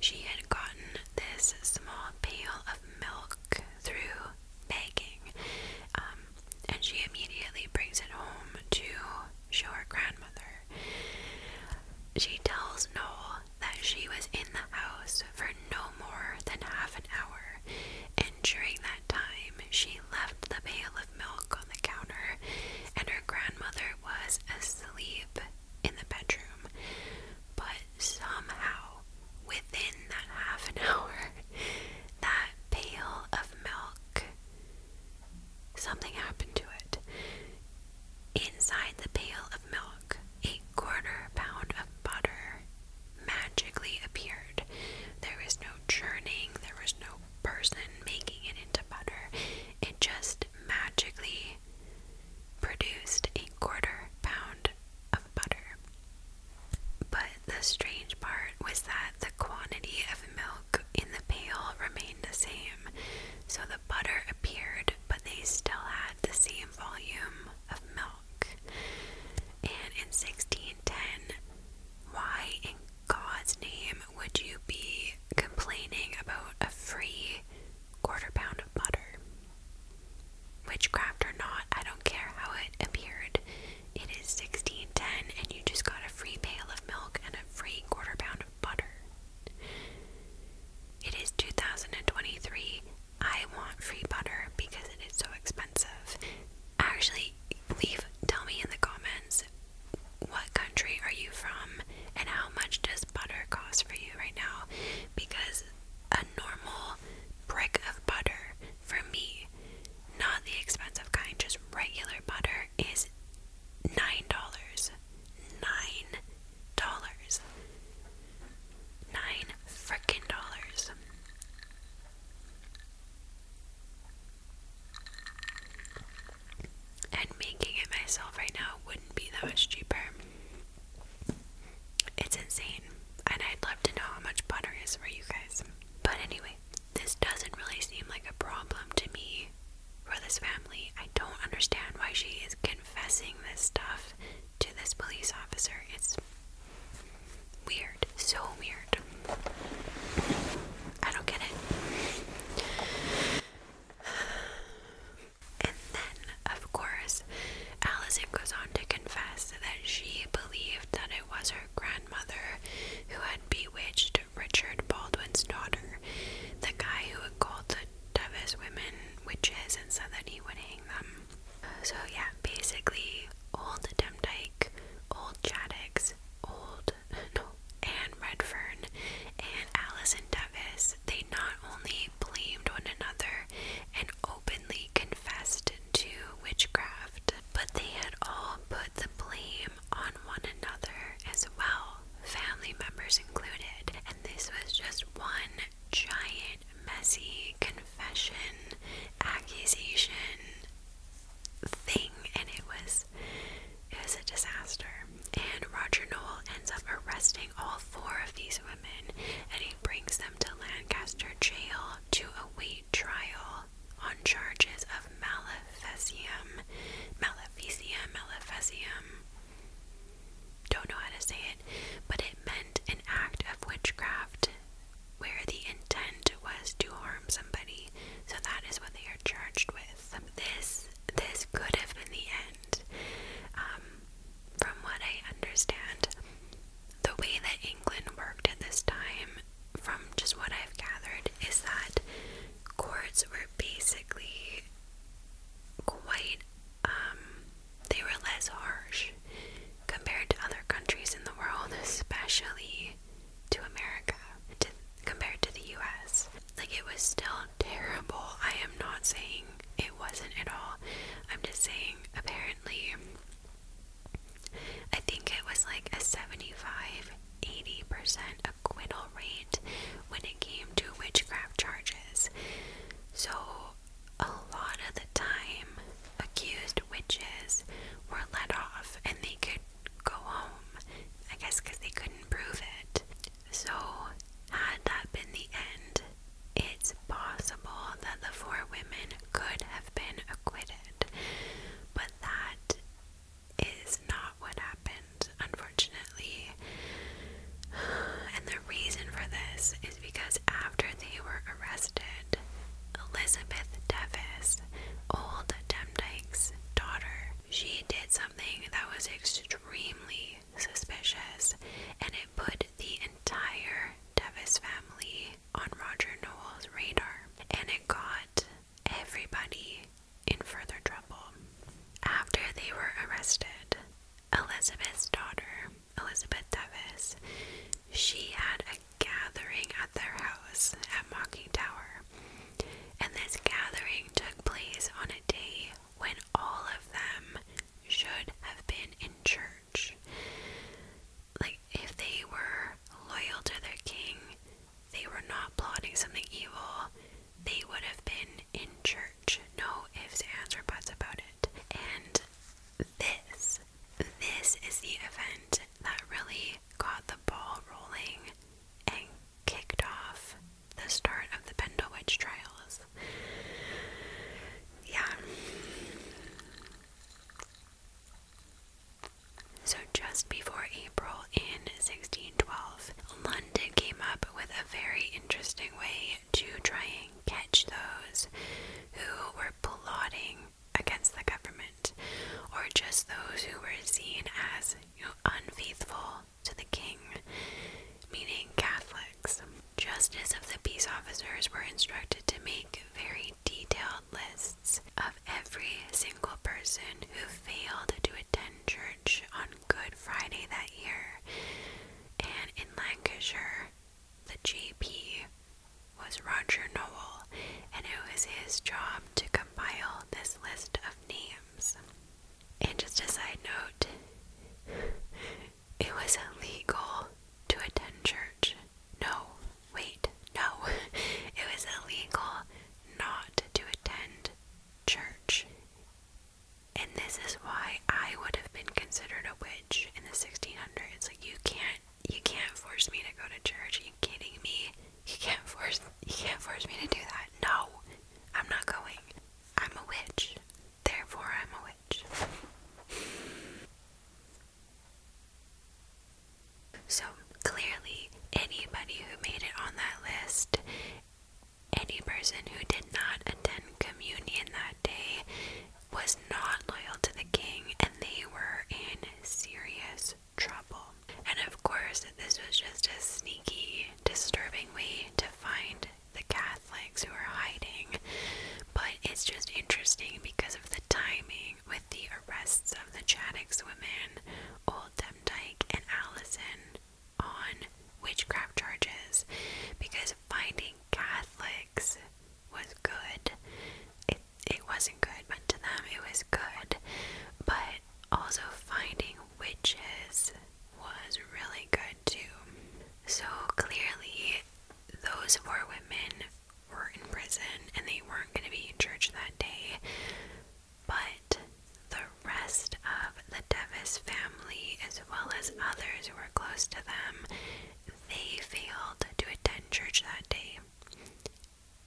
she had gotten this small pail of milk through begging. Um, and she immediately brings it home to show her grandmother. She tells Noel that she was in the house for no more than half an hour, and during that time, she left the pail of milk on the counter, and her grandmother was asleep in the bedroom. But somehow, within that half an hour, that pail of milk, something happened to it. Inside the pail of milk, a quarter pound of butter magically appeared. There was no churning, there was no person making it into butter. It just magically produced a quarter pound of butter. But the strange part was that the quantity of milk in the pail remained the same, so the butter appeared, but they still had the same volume of milk. And in 1610, why in God's name would you be complaining about a free quarter pound of butter? Witchcraft or not, I don't care how it appeared. It is sixteen ten, and you just got a free pail of milk and a free quarter pound of butter. It is 2023. I want free butter because it is so expensive. Actually, leave tell me in the comments what country are you from and how much does butter cost for you right now because a normal brick of butter for me not the expensive kind, just regular butter, is nine dollars. Nine dollars. Nine frickin' dollars. And making it myself right now wouldn't be that much cheaper. It's insane, and I'd love to know how much butter is for you guys. But anyway, this doesn't really seem like a problem to me for this family. I don't understand why she is confessing this stuff to this police officer. It's weird, so weird. I don't get it. And then, of course, Allison goes on to confess that she believed that it was her grandmother who had bewitched Richard Baldwin's daughter, the guy who had called the Devis women witches and said that he would hang them. So, yeah, basically, old Demdike, old Chaddix, old, no, Anne Redfern, and Alison Devis, they not only blamed one another and openly con confessed to witchcraft, but they had all put the blame on one another as well, family members included. And this was just one giant, messy confession, accusation thing, and it was it was a disaster. And Roger Noel ends up arresting all four of these women and he brings them to Lancaster jail to await trial on charges of maleficium, maleficium, maleficium. Don't know how to say it, but it meant an act of witchcraft where the intent was to harm somebody. So that is what they are charged with. This this could have been the end. Um, from what I understand, the way that England worked at this time, from just what I've gathered, is that courts were basically quite, um, they were less harsh compared to other countries in the world, especially to America, compared to the US. Like, it was still terrible. I am not saying it wasn't at all. I'm just saying, apparently, I think it was like a 75 80% acquittal rate when it came to witchcraft charges. So, a lot of the time, accused witches were let off and they could go home, I guess, because they couldn't prove it. So, had that been the end, it's possible that the four women could have been acquitted. But that is not what happened, unfortunately. And the reason for this is because after they were arrested, Elizabeth Devis, old Demdike's daughter, she did something that was extremely suspicious and it put the entire Devis family on Roger Nowell's radar, and it got everybody in further trouble. After they were arrested, Elizabeth's daughter, Elizabeth Devis, she had a gathering at their house at Mocking Tower. And this gathering took place on a day when all of them should have been in church like if they were loyal to their king, they were not plotting something evil, they would have been in church. No ifs, ands, or buts about it. And this, this is the event that really got the ball rolling and kicked off the start of the Pendle Witch trials. Yeah. So, just before April in 1612, London came up with a very interesting way to try and catch those who were plotting against the government, or just those who were seen as unfaithful to the king, meaning Catholics. Justice of the peace officers were instructed to make very detailed lists of every single person who failed to attend church on Good Friday that year. And in Lancashire, the JP was Roger Noel, and it was his job to compile this list of names. And just a side note, it was illegal to attend church no, wait, no. It was illegal not to attend church. And this is why I would have been considered a witch in the 1600s. Like you can't you can't force me to go to church. Are you kidding me? You can't force you can't force me to do that. No. I'm not going. I'm a witch. Therefore I'm a witch. So clearly, anybody who made it on that list, any person who did not attend communion that day, was not loyal to the king and they were in serious trouble. And of course, this was just a sneaky, disturbing way to find the Catholics who are hiding. But it's just interesting because of the timing with the arrests of the Chaddix women, Old Demdike, and Allison on witchcraft charges because finding Catholics was good. It, it wasn't good, but to them it was good. But also finding witches was really good too. So clearly, those four women were in prison and they weren't going to be in church that day. But the rest of the Devis family, as well as others who were close to them, they failed to attend church that day.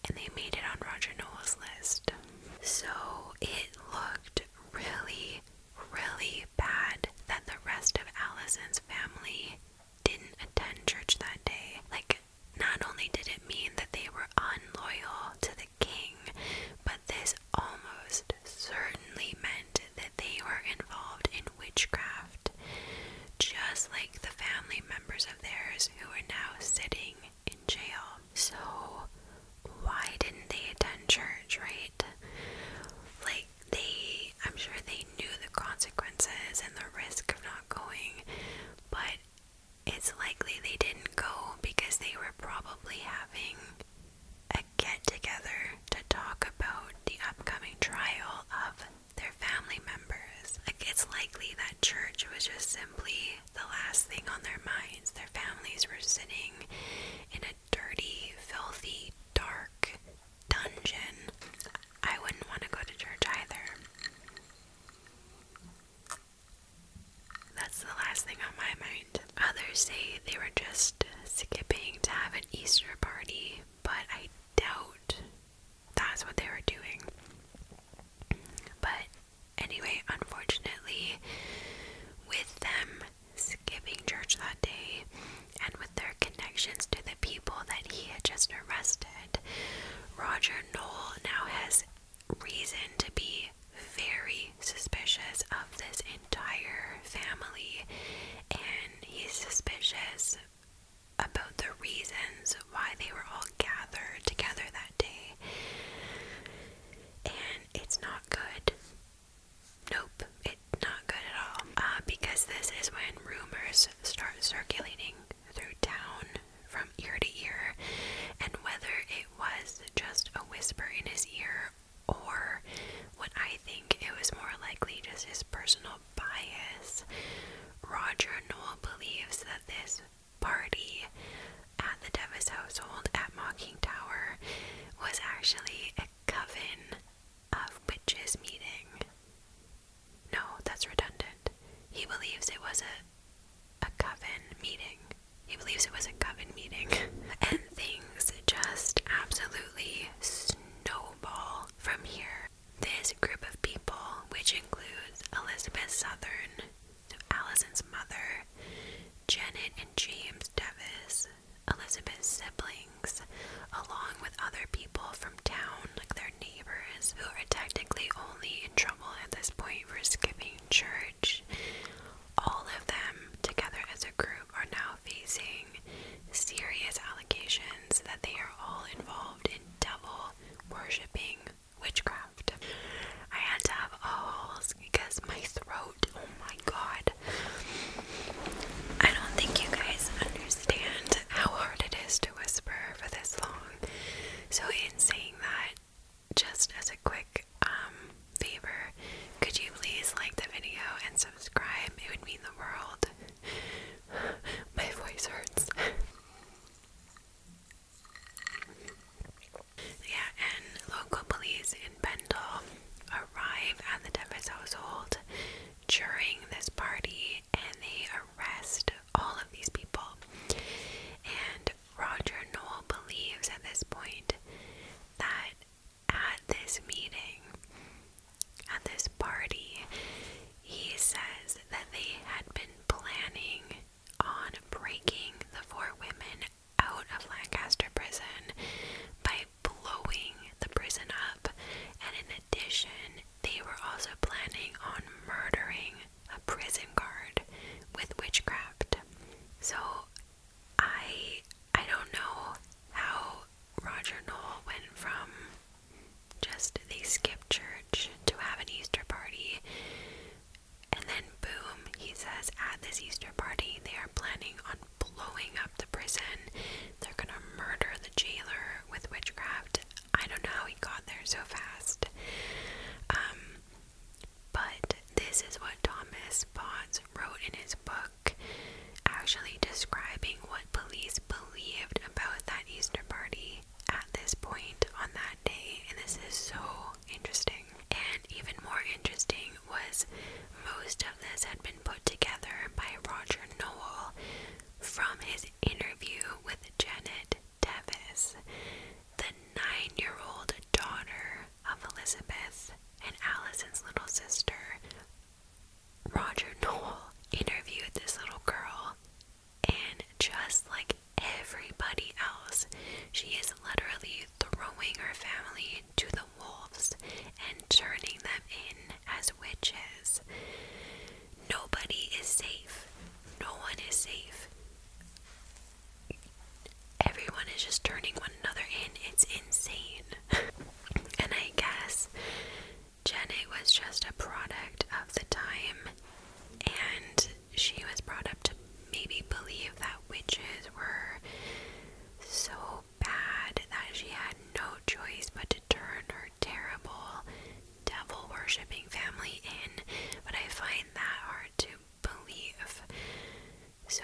And they made it on Roger Noel's list. So it looked really, really bad that the rest of Allison's family didn't attend church that day. Like, not only did it mean that they were unloyal to the king, but this almost certainly meant that they were involved in witchcraft, just like the family members of theirs who are now sitting in jail. So, why didn't they attend church, right? Like, they, I'm sure they knew the consequences and the risk of not going, but it's likely they didn't go because they were probably having a get together to talk about the upcoming trial of their family members. Like, it's likely that church was just simply the last thing on their minds. Their families were sitting in a dirty, filthy, dark dungeon. I wouldn't want to go to church either. That's the last thing on my mind. Others say they were just skipping to have an Easter party, but I doubt that's what they were doing. But anyway, unfortunately, with them skipping church that day and with their connections to the people that he had just arrested, Roger Knoll now has reason to be very suspicious of this entire family, and he's suspicious about the reasons why they were all gathered together that day. And it's not good. Nope, it's not good at all. Uh, because this is when rumors start circulating through town from ear to ear, and whether it was just a whisper in his ear or what I think it was more likely just his personal bias, Roger Noel believes that this party at the Devis household at Mocking Tower was actually a coven of witches meeting. No, that's redundant. He believes it was a a coven meeting. He believes it was a coven meeting. and things just absolutely snowball from here. This group of people, which includes Elizabeth Southern, Allison's mother, Janet and James Devis, Elizabeth's siblings, along with other people from town, like their neighbors, who are technically only in trouble at this point for skipping church, all of them together as a group are now facing serious allegations that they are all involved in devil worshipping witchcraft. I had to have awls because my throat, oh my god. I don't think you guys understand how hard it is to whisper for this long. So, in saying that, just as a quick um, favor, could you please like the video and subscribe? It would mean the world. My voice hurts. yeah, and local police in Pendle arrive at the Devis household during this party and they arrest all of these people. And Roger Noel believes at this point that at this meeting, at this party, he says that they had been planning on breaking the four women out of Lancaster prison by blowing the prison up, and in addition, they were also planning on murdering a prison guard with witchcraft. So I I don't know how Roger Noel went from just they skip church to have an Easter party and then boom he says at this Easter party they are planning on blowing up the prison. They're gonna murder the jailer with witchcraft I don't know how he got there so fast. Um, but this is what Thomas Potts wrote in his book, actually describing what police believed about that Easter party at this point on that day. And this is so interesting. And even more interesting was most of this had been put together by Roger Noel from his interview with Janet Davis, the nine year old daughter of Elizabeth and Allison's little sister, Roger Noel interviewed this little girl, and just like everybody else, she is literally throwing her family to the wolves and turning them in as witches. Nobody is safe no one is safe. Everyone is just turning one another in. It's insane. and I guess Jenny was just a product of the time, and she was brought up to maybe believe that witches were so bad that she had no choice but to turn her terrible devil worshipping family in, but I find that hard to believe. So,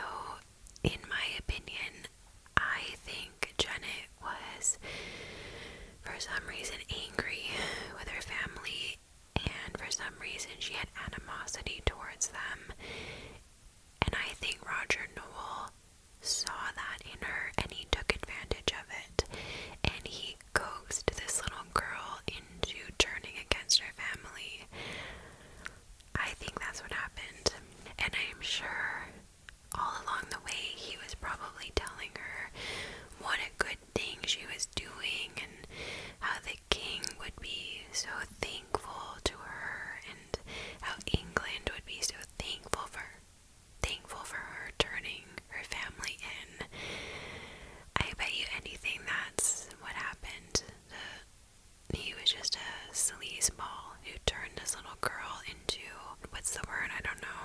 in my opinion, I think Janet was, for some reason, angry with her family, and for some reason, she had animosity towards them. And I think Roger Noel saw that in her and he took advantage of it. And he coaxed this little girl into turning against her family. I think that's what happened. And I'm sure all along the way he was probably telling her what a good thing she was doing and how the king would be so thankful to her and how England would be so thankful for thankful for her turning her family in. I bet you anything that's what happened. he was just a sleazeball who turned this little girl into what's the word? I don't know.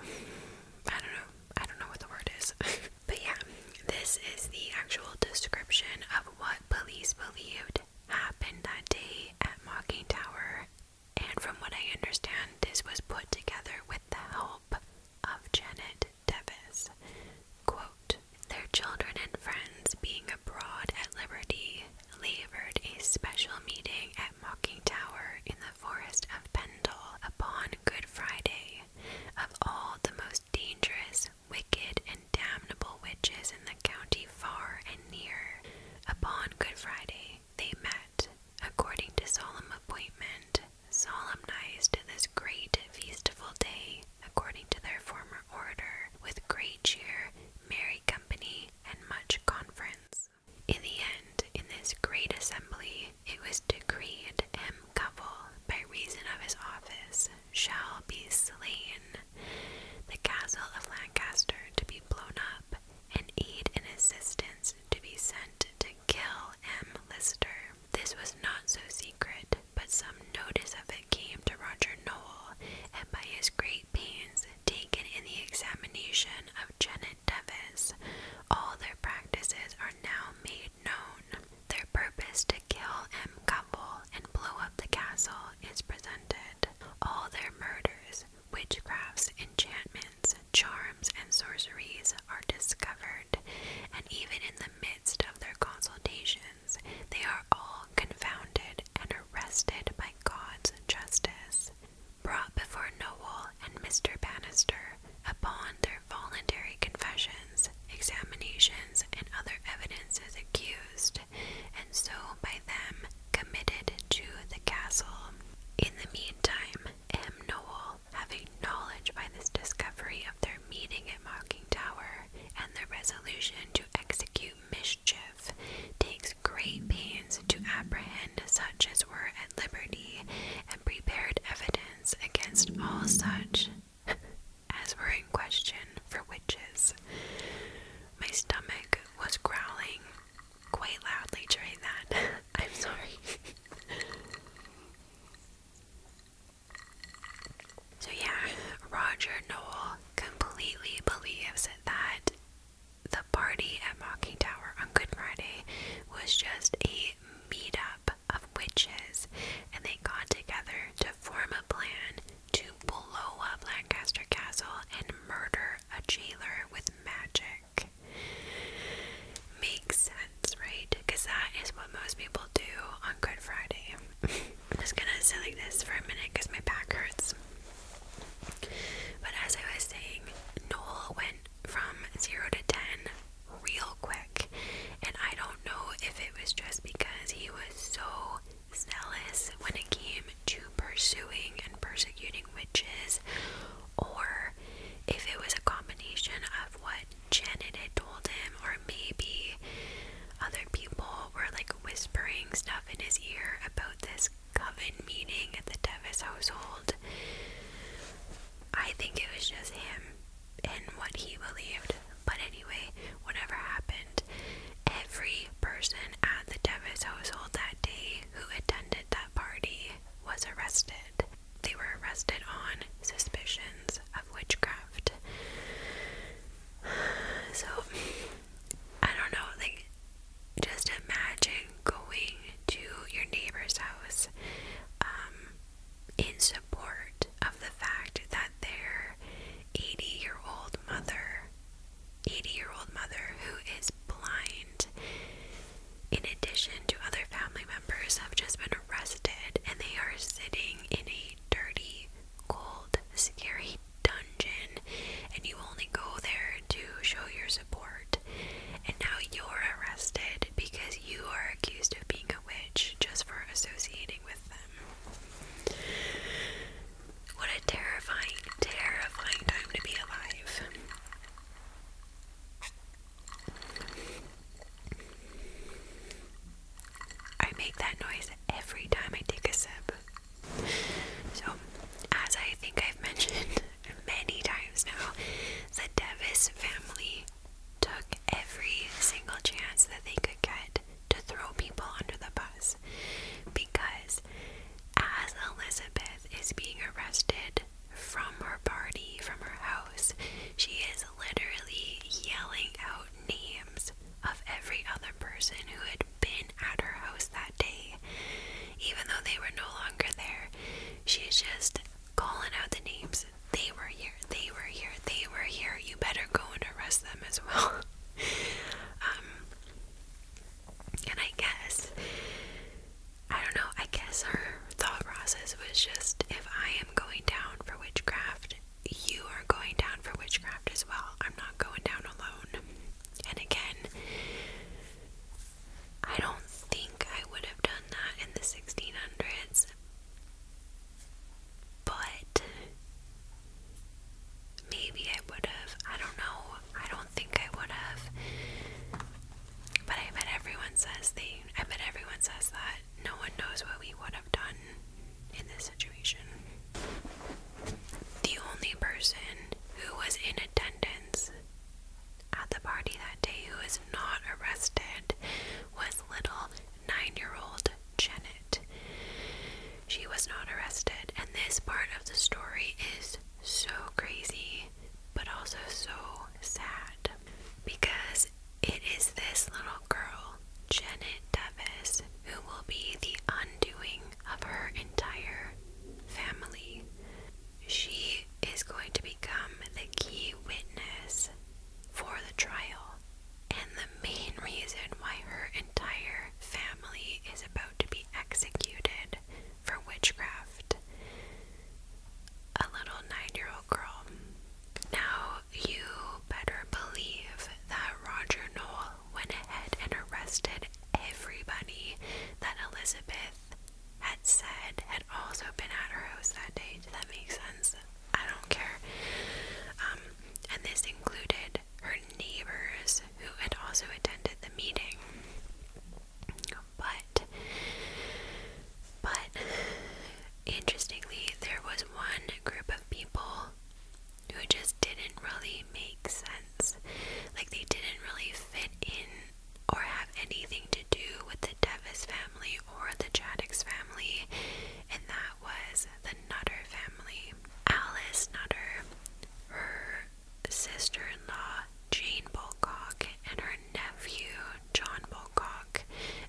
I don't know. I don't know what the word is. but yeah, this is the actual description of what police believed happened that day at Mocking Tower. And from what I understand, this was put together with the help of Janet their children and friends, being abroad at liberty, laboured a special meeting at Mocking Tower in the forest of Pendle upon Good Friday, of all the most dangerous, wicked, and damnable witches in the county far and near. Upon Good Friday, they met, according to solemn appointment, solemnized this great feastful day according to their former order, with great cheer, merry company, and much conference. In the end, in this great assembly, it was decreed M. Covell, by reason of his office, shall be slain, the castle of Lancaster to be blown up, and aid and assistance to be sent to kill M. Lister. This was not so secret, but some notice of it came to Roger Nowell, and by his great pains taken in the examination of Janet Devis, all their practices are now made known. Their purpose to kill M. Covell and blow up the castle is presented. All their murders, witchcrafts, enchantments, charms, and sorceries are discovered, and even in the midst of their consultations, they are all confounded and arrested by God's justice. Brought before Noel and Mr. Bannister, upon their voluntary confessions, examinations, and other evidences accused, and so by them committed to the castle. In the meantime, M. Noel having knowledge by this discovery of their meeting at Mocking Tower and their resolution to execute mischief, takes great pains to apprehend such as were at liberty and prepared evidence against all such as were in question for witches. My stomach was growling quite loudly during that. I'm sorry. So, yeah, Roger Noel completely believes that the party at Mocking Tower on Good Friday was just a meet-up of witches, and they got together to form a plan to blow up Lancaster Castle and murder a jailer with magic. Makes right? Because that is what most people do on Good Friday. I'm just gonna sit like this for a minute because my back hurts. But as I was saying, Noel went from 0 to 10 real quick. And I don't know if it was just because he was so zealous when it came to pursuing and persecuting witches, or if it was a combination of what Janet had told him, or maybe other people were like whispering stuff in his ear about this coven meeting at the Devis household. I think it was just him and what he believed. But anyway, whatever happened, every person at the Devis household that day who attended that party was arrested they were arrested on suspicions of witchcraft. So I don't know, like just imagine going to your neighbor's house um, in support of the fact that their 80-year-old mother 80-year-old mother who is blind in addition to other family members have just been arrested and they are sitting in a dirty, cold, scary dungeon, and you only go there to show your support. And now you're arrested because you are accused of being a witch just for associating with them. What a terrifying, terrifying time to be alive. I make that noise every time I take a sip. So, as I think I've mentioned many times now, the Devis family took every single chance that they could get to throw people under the bus because as Elizabeth is being arrested from her party, from her she is literally yelling out names of every other person who had been at her house that day. Even though they were no longer there, she's just calling out the names. They were here, they were here, they were here. You better go and arrest them as well. um, and I guess, I don't know, I guess her thought process was just if I am going down for witchcraft, you are going down for witchcraft as well. I'm not going down alone. And again, I don't think I would have done that in the 1600s, but maybe I would have. I don't know. I don't think I would have. But I bet everyone says they. I bet everyone says that no one knows what we would have done in this situation. The only person who was in attendance at the party that day who was not arrested was little nine year old Janet. She was not arrested, and this part of the story is so crazy but also so sad because it is this little girl, Janet Davis, who will be the undoing of her entire family. She is going to become the key witness for the trial. And the main reason why her entire family is about to be executed for witchcraft. A little nine year old girl. Now, you better believe that Roger Noel went ahead and arrested everybody that Elizabeth had said had also been at her house that day. Does that make sense? I don't care. Um, and this included her neighbors who had also attended the meeting. But but interestingly, there was one group of people who just didn't really make sense. Like, they didn't really fit in or have anything to do with the Devis family or the Chaddix family, and that was the Nutter family. Alice Nutter, her sister in law, Jane Bulcock, and her nephew, John Bulcock,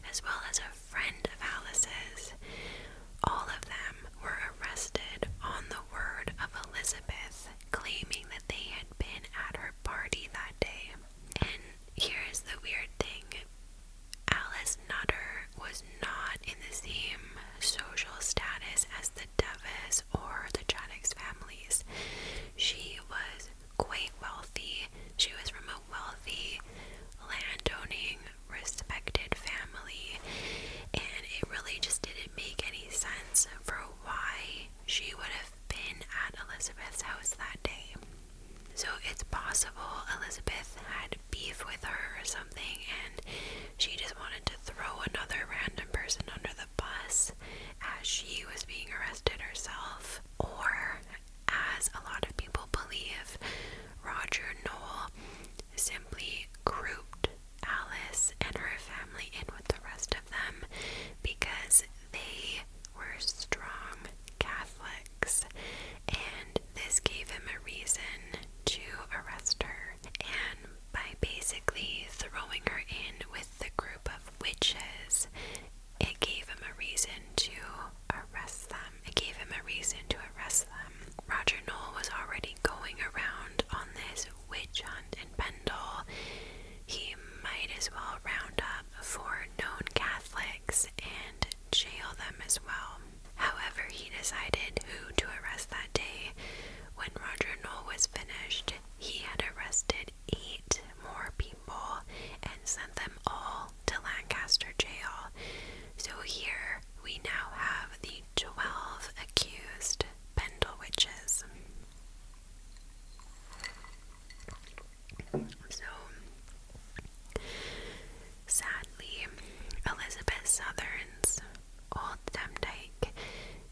as well as friend of Alice's. All of them were arrested on the word of Elizabeth, claiming that they had been at her party that day. And here's the weird thing Alice Nutter was not in the same social status as the Devis or the Chaddix families. She was quite wealthy, she was remote a wealthy, landowning, respected family, and it really just didn't make any sense for why she would have been at Elizabeth's house that day. So it's possible Elizabeth had beef with her or something, and she just wanted to throw another random person under the bus as she was being arrested herself, or as a lot of people believe, Roger Noel simply grouped Alice and her family in with the rest of them because they were strong Catholics, and this gave him a reason to arrest her. And by basically throwing her in with the group of witches it gave him a reason to arrest them. It gave him a reason to arrest them. Roger Knoll was already going around on this witch hunt in Pendle. He might as well round up four known Catholics and jail them as well. However, he decided who to arrest that day. When Roger Knoll was finished, he had arrested eight more people and sent them all to Lancaster jail. So here we now have the 12 accused Pendle witches. So, sadly, Elizabeth Southern's old Demdike,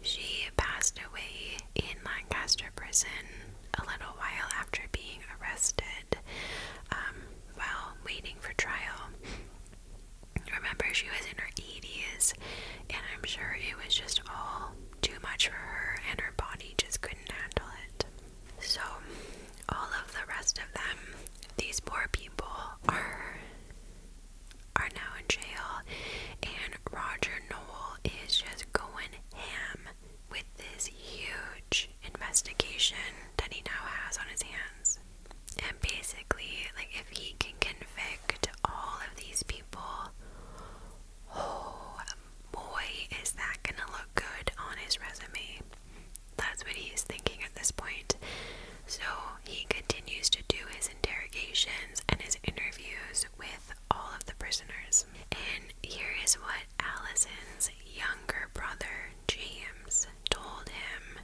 she passed away in Lancaster prison a little while after being arrested. Um, while waiting for trial. Remember, she was in her 80s, and I'm sure it was just all too much for her, and her body just couldn't handle it. So, all of the rest of them, these poor people, are are now in jail, and Roger Noel is just going ham with this huge investigation that he now has on his hands. And basically, like if he can convict all of these people, oh boy, is that gonna look good on his resume. That's what he's thinking at this point. So he continues to do his interrogations and his interviews with all of the prisoners. And here is what Allison's younger brother James told him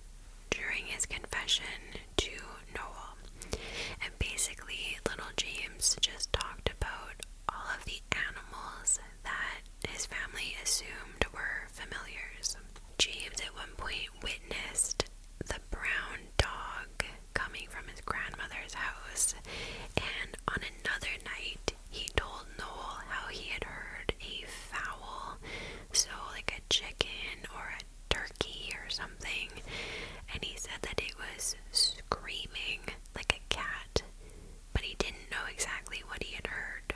during his confession to Noel. And basically, little James just talked about all of the animals that his family assumed were familiars. James at one point witnessed the brown dog coming from his grandmother's house, and on another night, he told Noel how he had heard a fowl, so like a chicken or a turkey or something, and he said that it was screaming like a cat, but he didn't know exactly what he had heard.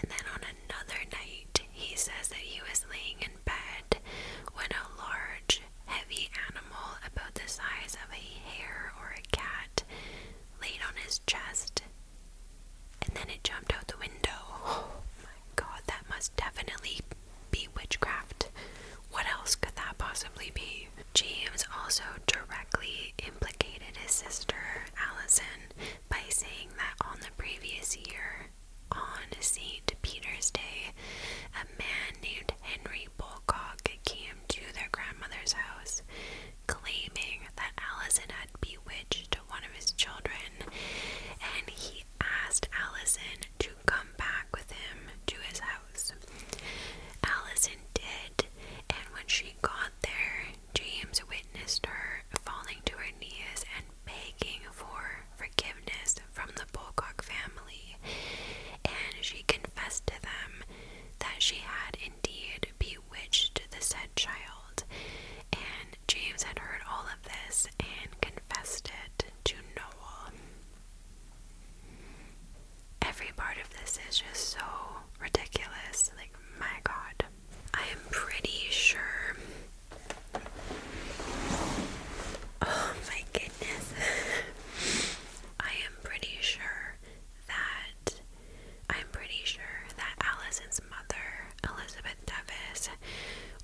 And then on another night, he says that he was laying in bed when a large, heavy animal about the size of a hare or a cat laid on his chest, and then it jumped out the window. Oh my god, that must definitely be witchcraft. What else could that possibly be? James also directly implicated his sister, Allison, by saying that on the previous year, on St. Peter's Day, a man named Henry Bulcock came to their grandmother's house claiming that Allison had bewitched one of his children, and he asked Allison to come back with him to his house. Allison did, and when she got there, James witnessed her falling to her knees and begging for forgiveness from the Pocock family, and she confessed to them that she had indeed. bewitched bewitched the said child, and James had heard all of this and confessed it to Noel. Every part of this is just so ridiculous. Like, my god. I am pretty sure. Oh my goodness. I am pretty sure that I'm pretty sure that Allison's mother, Elizabeth Devis,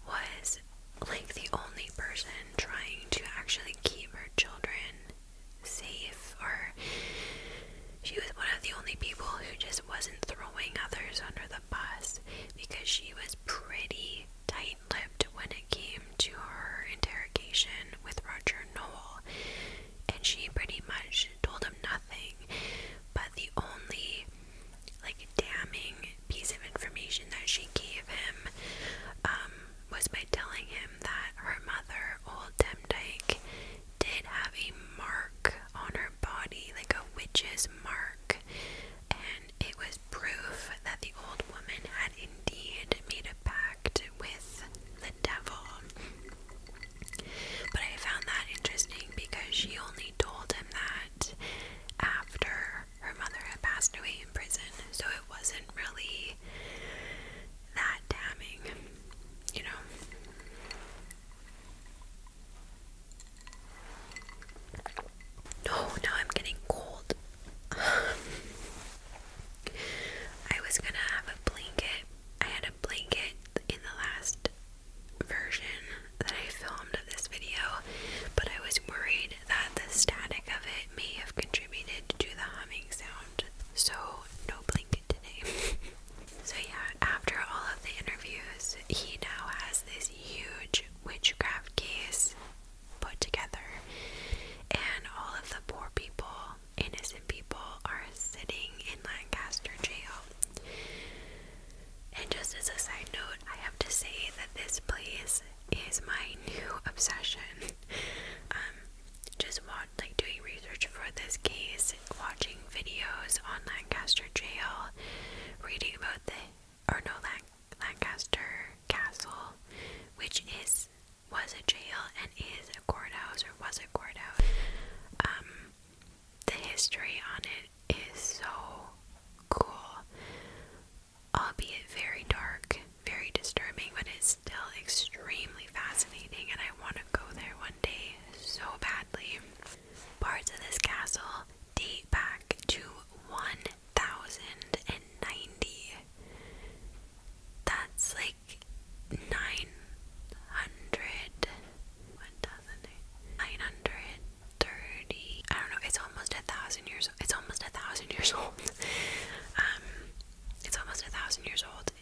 was like the only person trying to actually keep her children safe, or she was one of the only people who just wasn't throwing others under the bus because she was pretty tight lipped when it came to her interrogation with Roger Noel and she pretty much told him nothing. But the only like damning piece of information that she gave him um, was by telling him that her mother, old Demdike, did have a mark on her body, like a witch's mark, and it was proof that the old woman had indeed made a pact with the devil. But I found that interesting because she only told him that after her mother had passed away in prison, so it wasn't really that damning, you know. No, oh, I'm getting cold. I was gonna have a blanket, I had a blanket in the last version that I filmed of this video, but I was worried that the static of it may have contributed to the humming sound, so no blanket today. so, yeah, after all of the interviews, he now has this huge witchcraft case put together, and all of the poor people innocent people are sitting in Lancaster jail. And just as a side note, I have to say that this place is my new obsession. Um, just watch, like doing research for this case, watching videos on Lancaster jail, reading about the or no Lancaster Castle, which is was a jail and is a courthouse or was a courthouse. Um, the history on it is so cool, albeit very dark, very disturbing, but it's still extremely fascinating, and I want to go there one day so badly. Parts of this castle date back to 1090. That's like nine hundred one thousand nine hundred thirty I don't know, it's almost a thousand years old it's almost a thousand years old. um it's almost a thousand years old.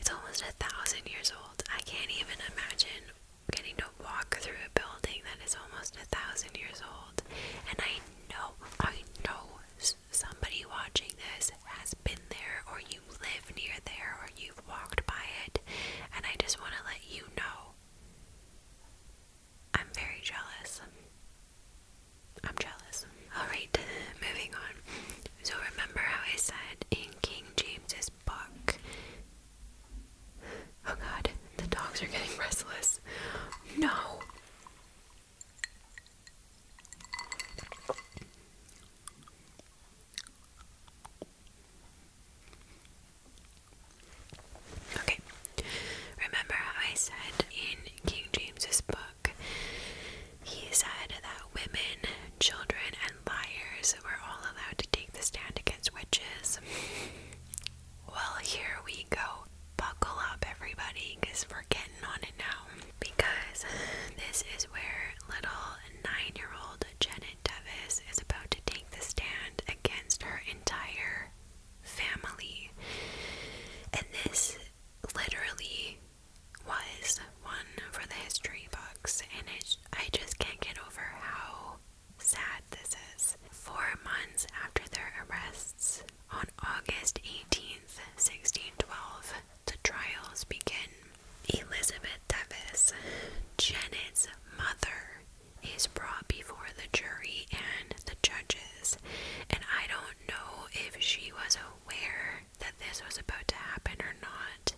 It's almost a thousand years old. I can't even imagine getting to walk through a building that is almost a thousand years old. And I know, I know somebody watching this has been there, or you live near there or you've walked by it, and I just want to let you know I'm very jealous. I'm jealous. Alright, moving on. So, remember how I said in King James's book? Oh god, the dogs are getting restless. No! Okay, remember how I said in King James's book, he said that women, children, and liars were all allowed to take the stand against witches. Well, here we go. Buckle up, everybody, because we're getting on it now because this is where little nine year old Janet Devis is about to take the stand against her entire family. And this literally was one for the history books, and it, I just can't get over how sad this is. Four months after their arrests, on August 18th, 1612, the trials begin. Elizabeth Davis, Janet's mother, is brought before the jury and the judges, and I don't know if she was aware that this was about to happen or not.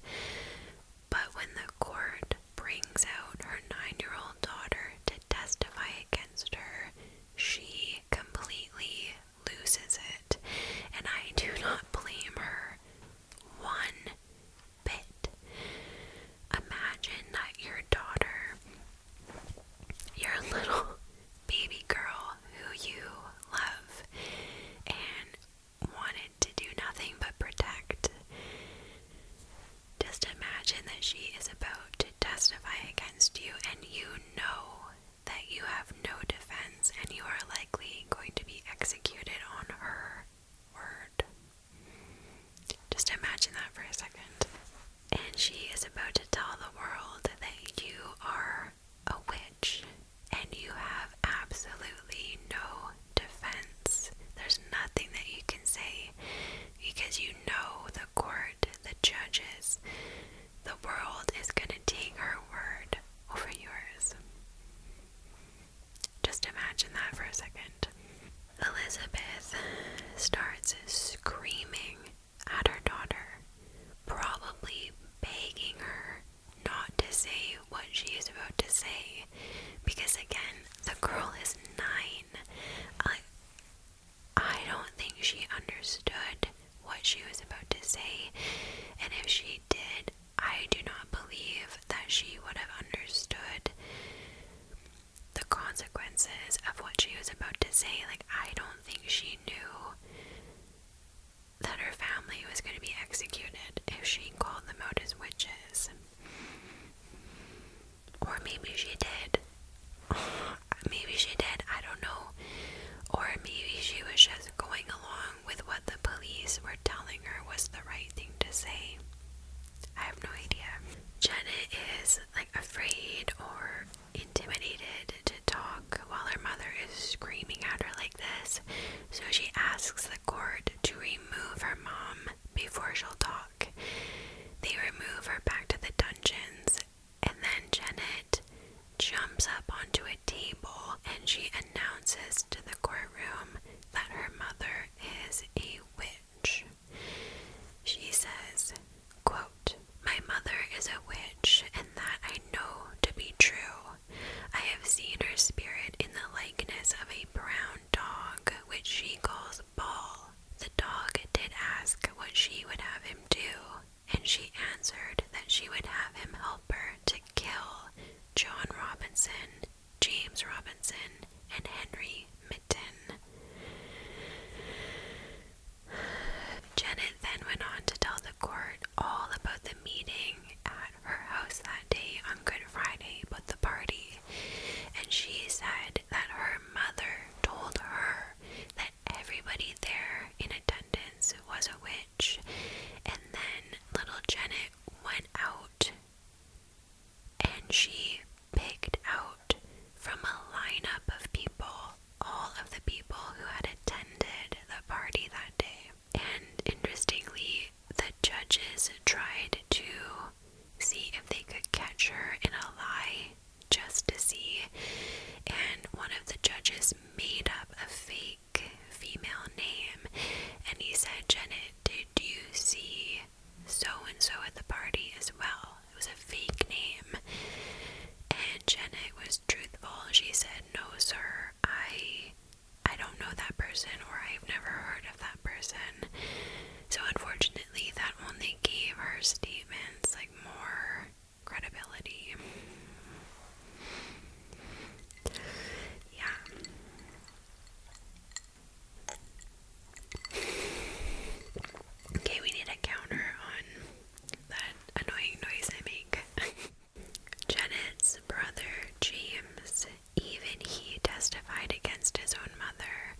But when the court brings out her nine year old daughter to testify against her, she completely loses it, and I do not blame her one bit. Imagine that your daughter, your little baby girl who you love and wanted to do nothing but protect, just imagine that she is about to testify against you and you know that you have no defense and you are likely going to be executed on her word. Just imagine that for a second. And she is about to tell the world that you are a witch and you have absolutely no defense. There's nothing that you can say because you know the court, the judges, the world is going to take her word over yours. Just imagine that for a second. Elizabeth starts screaming at her daughter, probably begging her not to say what she is about to say, because again, the girl is nine. I, I don't think she understood what she was about to say, and if she did, I do not believe that she would have understood the consequences of what she was about to say. Like, I don't think she knew that her family was going to be executed if she called them out witches. Or maybe she did. maybe she did, I don't know. Or maybe she was just going along with what the police were telling her was the right thing to say. I have no idea. Janet is like afraid or intimidated to talk while her mother is screaming at her like this, so she asks the court to remove her mom before she'll talk. They remove her back to the dungeons, and then Janet jumps up onto a table and she announces to the courtroom that her mother is a witch. She says, quote, My mother is a witch, and that I know to be true. I have seen her spirit in the likeness of a brown dog, which she calls Ball. The dog did ask what she would have him do, and she answered that she would have him help her to kill John Robinson, James Robinson, and Henry Mitten. Janet then went on to tell the court all about the meeting at her house that day on Good Friday about the party, and she said that her mother told her that everybody there in attendance was a witch. And then little Janet went out and she picked out from a lineup of people all of the people who had attended the party that day. And interestingly, the judges tried to see if they could catch her in a lie just to see. And one of the judges made up a fake female name, and he said, Janet, did you see so and so at the party as well? It was a fake name. And Janet was truthful. She said, No, sir, I I don't know that person or I've never heard of that person. So unfortunately that only gave her statements like more credibility. Yeah. Okay, we need a counter on that annoying noise I make. Janet's brother, James, even he testified against his own mother,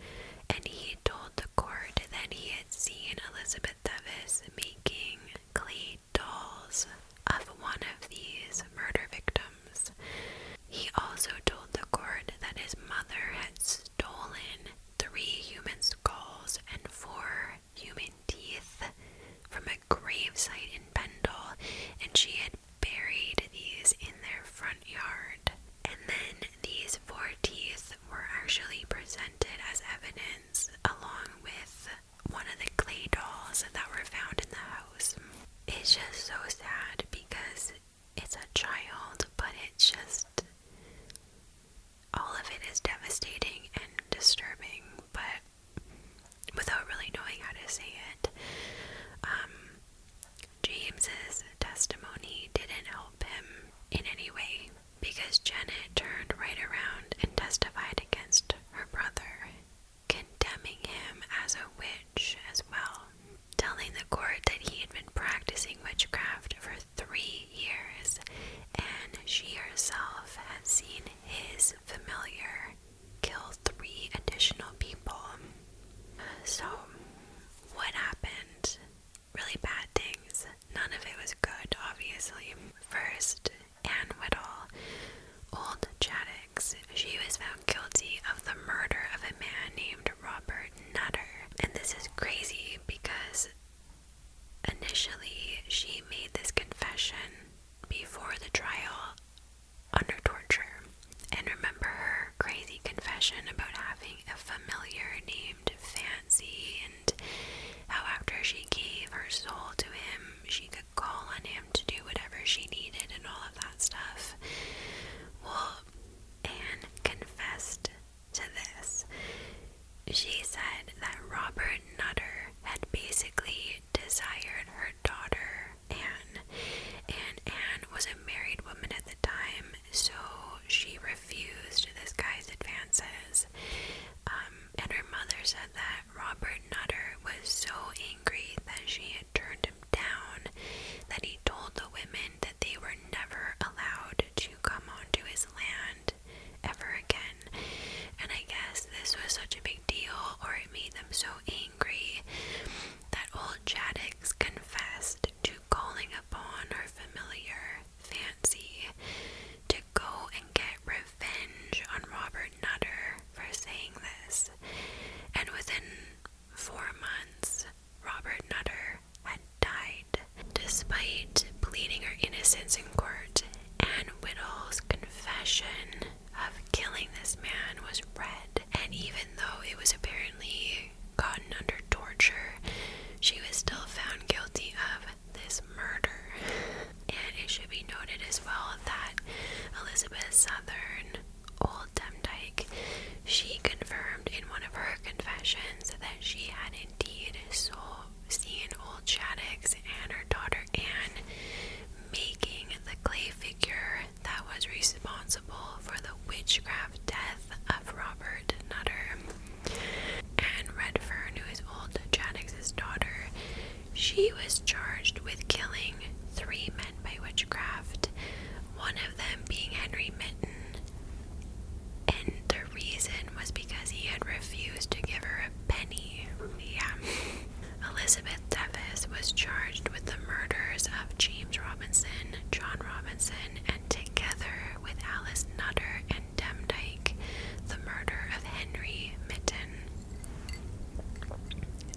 and he told the court that he had seen Elizabeth Thevis making clay dolls of one of these murder victims. He also told the court that his mother had stolen three human skulls and four human teeth from a gravesite in Pendle, and she had buried these in their front yard. And then these four teeth were actually presented as evidence along with one of the clay dolls that were found in the house. It's just so sad because it's a child, but it's just all of it is devastating and disturbing, but without really knowing how to say it. Um, James's testimony didn't help him in any way because Janet turned right around and testified against her brother condemning him as a witch as well, telling the court that he had been practicing witchcraft for three years and she herself had seen his familiar kill three additional people. So, what happened? Really bad things. None of it was good, obviously. First, Ann Whittle, Old Chaddix. She was found guilty of the murder of a man named Robert Nutter. And this is crazy because initially she made this confession before the trial under torture. And remember her crazy confession about having a familiar named Fancy, and how after she gave her soul to him, she could call on him to do whatever she needed and all of that stuff. Well, Anne confessed to this. She said that Robert Nutter had basically desired her daughter, Anne, and Anne was a married woman at the time, so she refused this guy's advances. Um, and her mother said that Robert Mr. Nutter was so angry that she had turned him down that he told the women that they were never allowed to come onto his land ever again. And I guess this was such a big deal, or it made them so angry that old Chaddix confessed to calling upon her familiar fancy to go and get revenge on Robert Nutter for saying this and within four months, Robert Nutter had died. Despite pleading her innocence in court, Anne Whittle's confession of killing this man was read, and even though it was apparently gotten under torture, she was still found guilty of this murder. And it should be noted as well that Elizabeth Southern Old Demdike, she confirmed in one of her confessions that she had indeed seen old Shaddix and her daughter Anne making the clay figure that was responsible for the witchcraft death of Robert Nutter. and Redfern, who is old Shaddix's daughter, she was charged with killing three men by witchcraft, one of them being Henry Mitten, And the reason was because he had refused to give her a penny. Yeah. Elizabeth Devis was charged with the murders of James Robinson, John Robinson, and together with Alice Nutter and Demdike, the murder of Henry Mitten.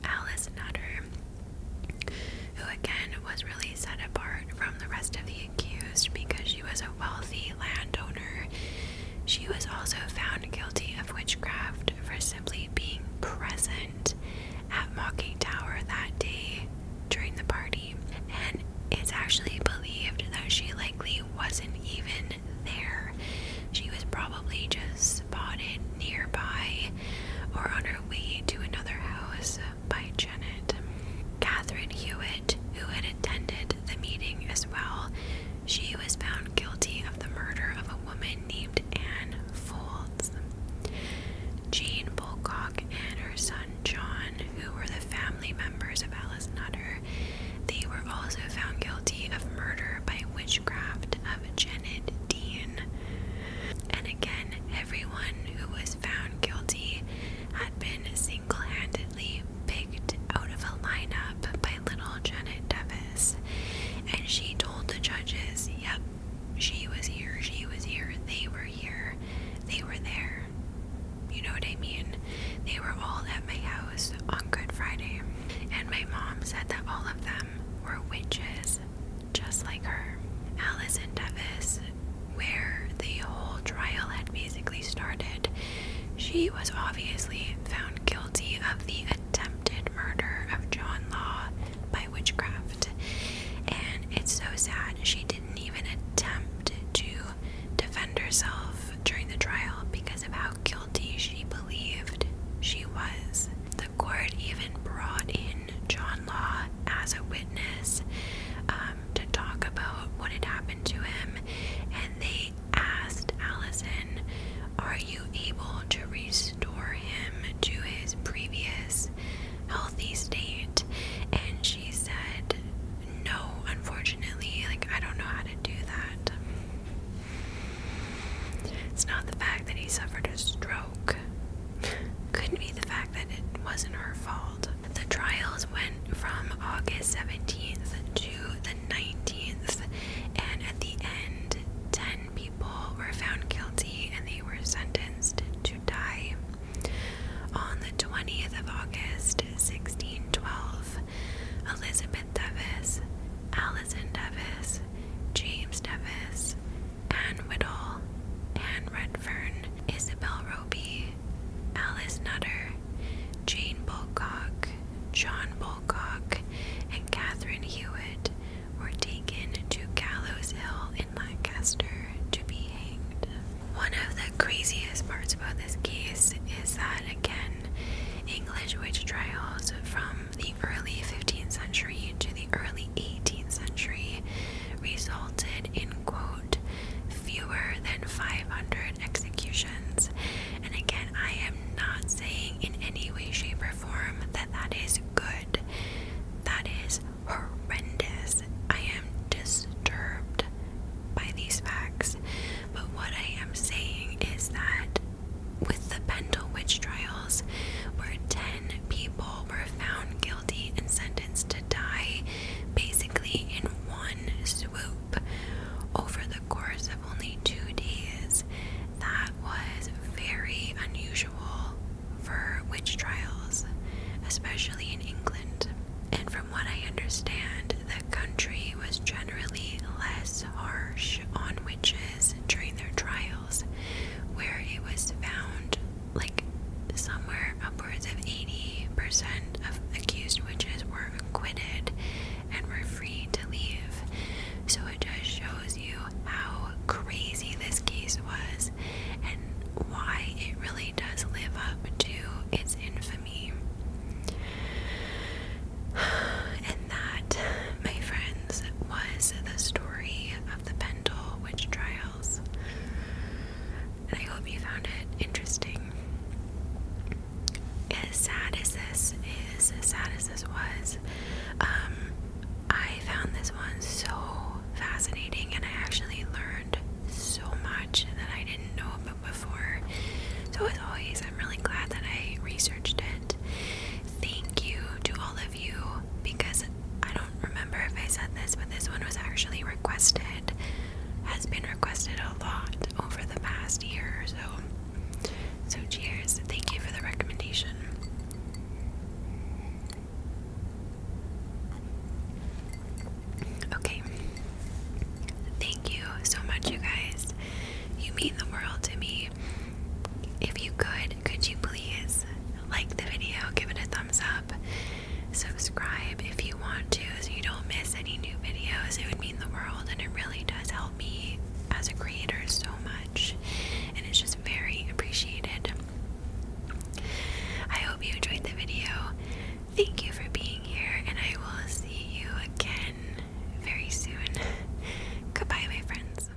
Alice Nutter, who again was really set apart from the rest of the accused because she was a wealthy landowner. She was also found guilty of witchcraft for simply being present at Mocking Tower that day during the party. And it's actually believed that she likely wasn't even there. She was probably just spotted nearby or on her way to another house by Janet. Catherine Hewitt, who had attended the meeting as well, she was found guilty of the murder of a woman named Anne Folds. Jane Bulcock and her son John, who were the family members of Alice Nutter, they were also found guilty of murder by witchcraft Janet Dean. And again, everyone who was found guilty had been single handedly picked out of a lineup by little Janet Davis. And she told the judges, yep, she was here, she was here, they were here, they were there. You know what I mean? They were all at my house on Good Friday. And my mom said that all of them were witches just like her. Alice and Devis, where the whole trial had basically started, she was obviously found guilty of the attempted murder of John Law by witchcraft. And it's so sad she didn't even attempt to defend herself during the trial because of how guilty she believed she was. The court even brought in John Law as a witness um, to talk about what had happened to him, and they asked Allison, Are you able to restore him to his previous healthy state? And she said, No, unfortunately, like I don't know how to do that. It's not the fact that he suffered a stroke couldn't be the fact that it wasn't her fault. The trials went from August 17th to the 19th, and at the end, 10 people were found guilty and they were sentenced to die. On the 20th of August, 1612, Elizabeth Devis, Alison Devis, James Devis, Anne Whittle, Anne Redfern, Isabel Roby, Alice Nutter, Jane Bulcock, John Bulcock, and Catherine Hewitt were taken to Gallows Hill in Lancaster to be hanged. One of the craziest parts about this case is that, again, English witch trials from the early 15th century to the early 18th century resulted in, quote, fewer than 500 executions. And again, I am not saying in any way, shape, or form that that is good. That is horrendous. I am disturbed by these facts. But what I am saying is that with the Pendle witch trials, where 10 people were found guilty and sentenced to die basically in one swoop over the course of only two days. That was very unusual for witch trials, especially in England. And from what I understand, the country was generally less harsh on witches during their trials where it was found like somewhere upwards of 80% of accused witches were acquitted and were free to leave. So it just shows you how crazy this case was and why it really does live up to its infamy. that, my friends, was the story of the Pendle Witch Trials. And I hope you found it interesting. As sad as this is, as sad as this was, um, I found this one so fascinating and I actually learned so much that I didn't know about before. So, as always, I'm really glad that I researched it thank you to all of you because I don't remember if I said this, but this one was actually requested, has been requested a lot over the past year or so. So, cheers. Thank you for the recommendation. Okay. Thank you so much, you guys. You mean the world to me. If you could, could you please like the video, give it a thumbs up, subscribe if you want to so you don't miss any new videos. It would mean the world and it really does help me as a creator so much and it's just very appreciated. I hope you enjoyed the video. Thank you for being here and I will see you again very soon. Goodbye my friends.